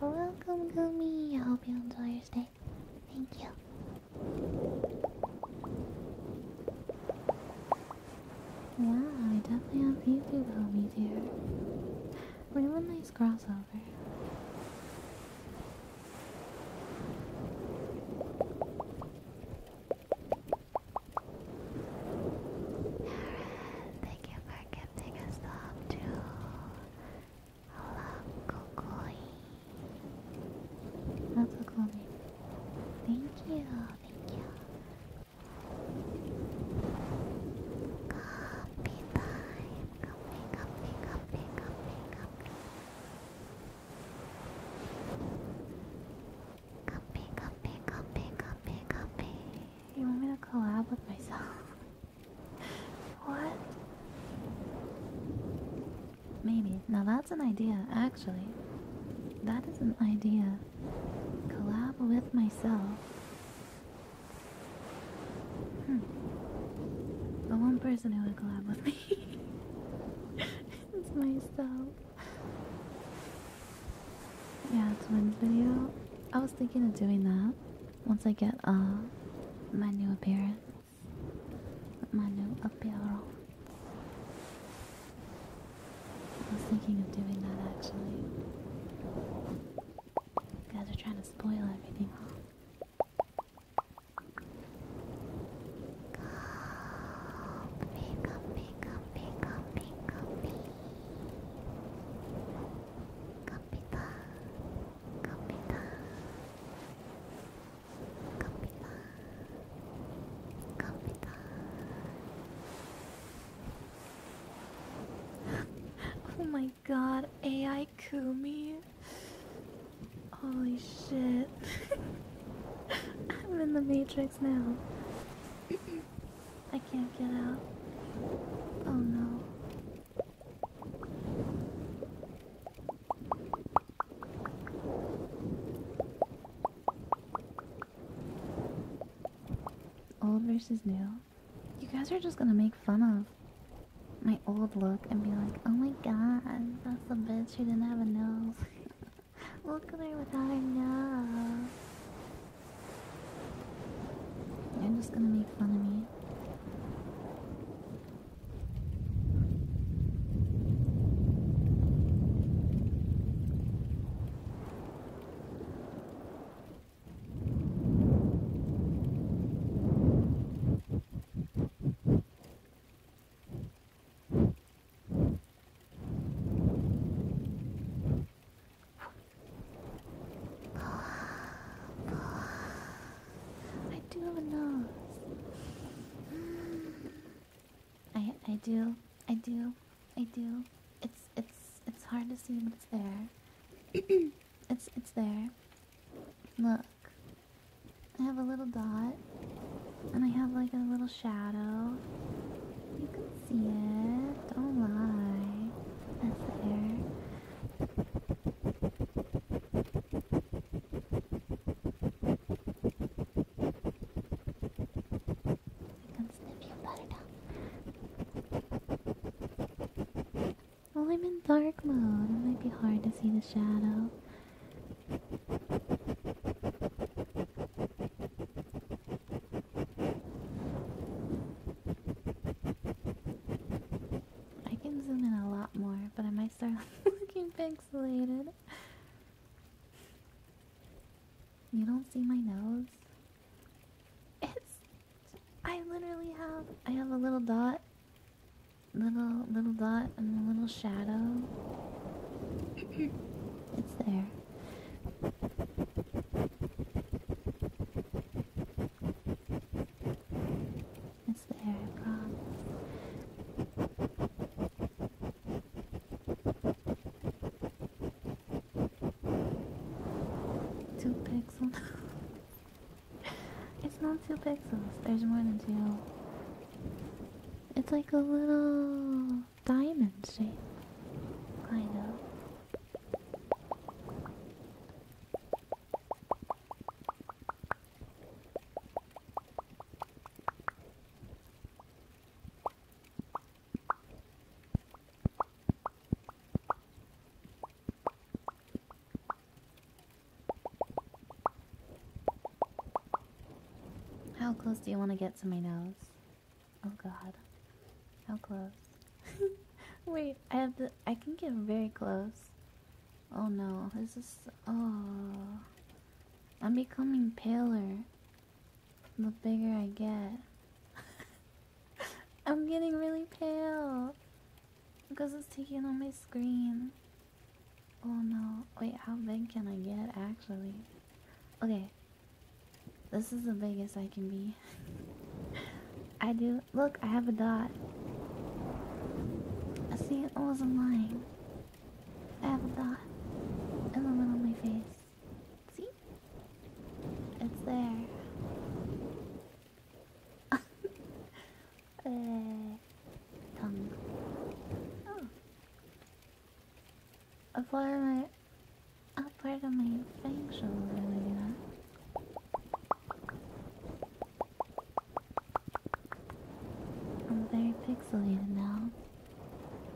Welcome, Gumi. I hope you enjoy your stay. Thank you. Wow, I definitely have YouTube homies here. Really nice just cross over. Aaron, thank you for gifting us up too. I love Kokoi. That's a cool name. Thank you, thank you comfy time. Comfy, comfy, comfy, comfy, comfy. Comfy, comfy, comfy, You want me to collab with myself? what? Maybe. Now that's an idea, actually. That is an idea. Collab with myself. Hmm. The one person who would collab with me is myself. Yeah, twins video. I was thinking of doing that once I get uh, my new appearance. My new apparel. I was thinking of doing that actually. You guys are trying to spoil everything, huh? Coffee, coffee, coffee, coffee, coffee. Kapita, kapita, kapita, kapita. oh my god, AI Kumi. Holy shit. I'm in the Matrix now. I can't get out. Oh no. Old versus new. You guys are just gonna make fun of my old look and be like, oh my god, that's the bitch who didn't have a nose. look at her without her nose. You're just gonna make fun of me. I do have I I do I do I do. It's it's it's hard to see, but it's there. it's it's there. Look, I have a little dot, and I have like a little shadow. You can see it. Don't oh lie. That's there. I can snip your butter down. Well, I'm in dark mode. It might be hard to see the shadow. I can zoom in a lot more, but I might start looking pixelated. You don't see my nose? It's I literally have I have a little dot little little dot and a little shadow. it's there. It's there, I Two pixels. it's not two pixels. There's more than two. It's like a little diamond shape, kind of. How close do you want to get to my nose? Oh god. How close? Wait, I have to. I can get very close. Oh no, this is. Oh. I'm becoming paler the bigger I get. I'm getting really pale because it's taking on my screen. Oh no. Wait, how big can I get actually? Okay. This is the biggest I can be. I do. Look, I have a dot. I see it. Oh, I'm lying. I have a dot in the middle of my face. See? It's there. uh, tongue. Oh. part of my, a part of my fang show I'm very pixelated now.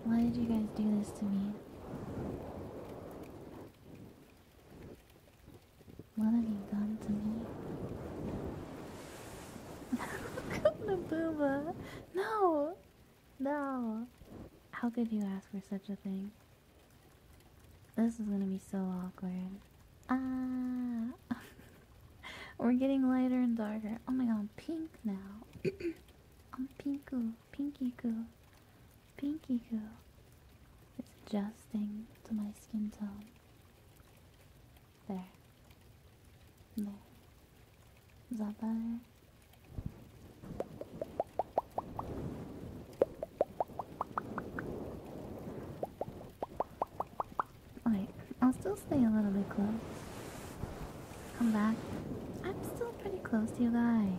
Why did you guys do this to me? Melody gone to me. Booba. No! No! How could you ask for such a thing? This is gonna be so awkward. Ah! We're getting lighter and darker. Oh my god, I'm pink now. I'm pinko, pinky Pinky Goo it's adjusting to my skin tone. There. There. Is that better? Alright, I'll still stay a little bit close. Come back. I'm still pretty close to you guys.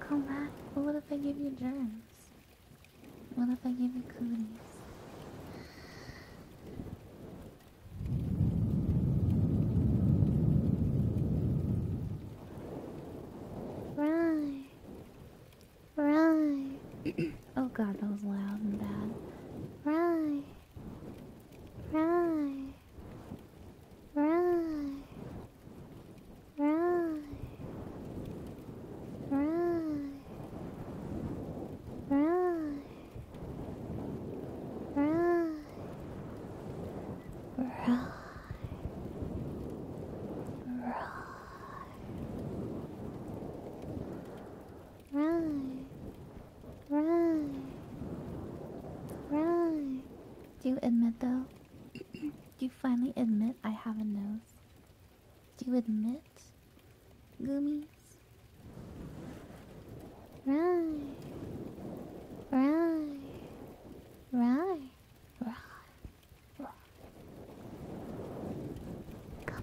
Come back. What if I give you germs? What if I give you cooties? Right. Right. oh god, that was loud and bad. Right. Right. Right. Right. Right. Right. Right. Right. Right. Right. Right. Right. Do you admit though? Do you finally admit I have a nose? Do you admit? Gummies. Right. Right. Right. Right. Right. Gummy.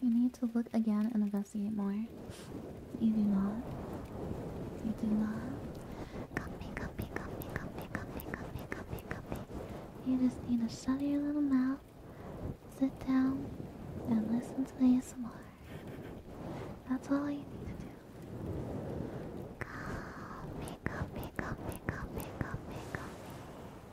You need to look again and investigate more. You do not. You do not. Copy, copy, copy, copy, copy, copy, copy, copy. You just need to shut your little mouth, sit down, and listen to me ASMR. That's all you need to do. Copy, copy, copy, copy, copy, copy.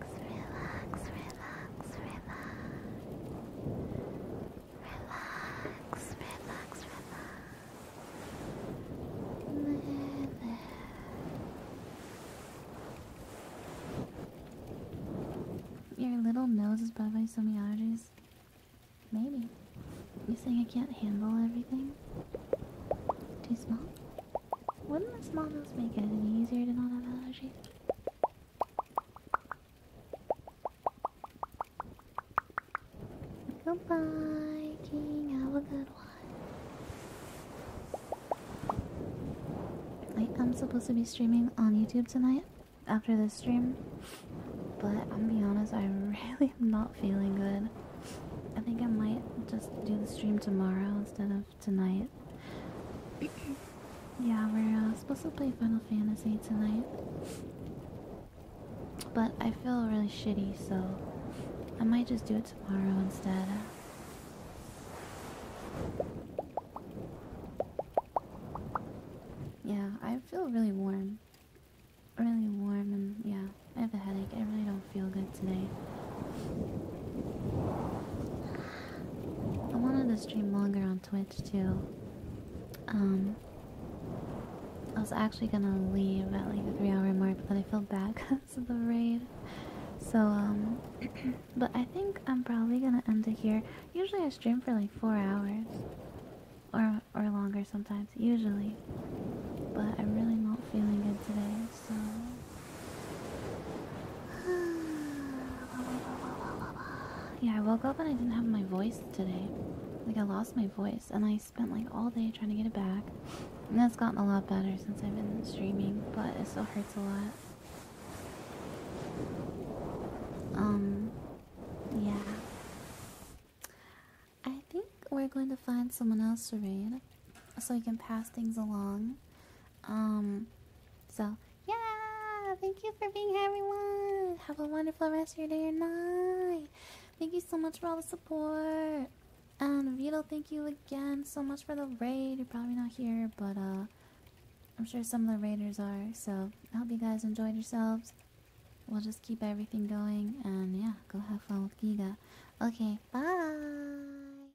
relax, relax, relax, relax, relax, relax. Your little nose is probably some allergies. Maybe. You saying I can't handle everything? Too small? Wouldn't the small nose make it any easier to not have allergies? Goodbye, King. Have a good one. Like, I'm supposed to be streaming on YouTube tonight after this stream, but I'm being honest, I really am not feeling good. I think I might just do the stream tomorrow instead of tonight. yeah, we're uh, supposed to play Final Fantasy tonight. But I feel really shitty, so I might just do it tomorrow instead. Yeah, I feel really warm. Really warm, and yeah, I have a headache. I really don't feel good bed tonight. I wanted to stream longer on Twitch too. Um, I was actually gonna leave at like the three hour mark, but then I feel bad because of the raid. So, um, but I think I'm probably gonna end it here. Usually I stream for like four hours. Or, or longer sometimes, usually. But I'm really not feeling good today, so. yeah, I woke up and I didn't have my voice today. Like, I lost my voice, and I spent like all day trying to get it back. And that's gotten a lot better since I've been streaming, but it still hurts a lot. Um, yeah. I think we're going to find someone else to read so we can pass things along. Um, so yeah, thank you for being here, everyone. Have a wonderful rest of your day or night. Thank you so much for all the support. And Vito, thank you again so much for the raid. You're probably not here, but uh, I'm sure some of the raiders are. So I hope you guys enjoyed yourselves. We'll just keep everything going, and yeah, go have fun with Giga. Okay, bye.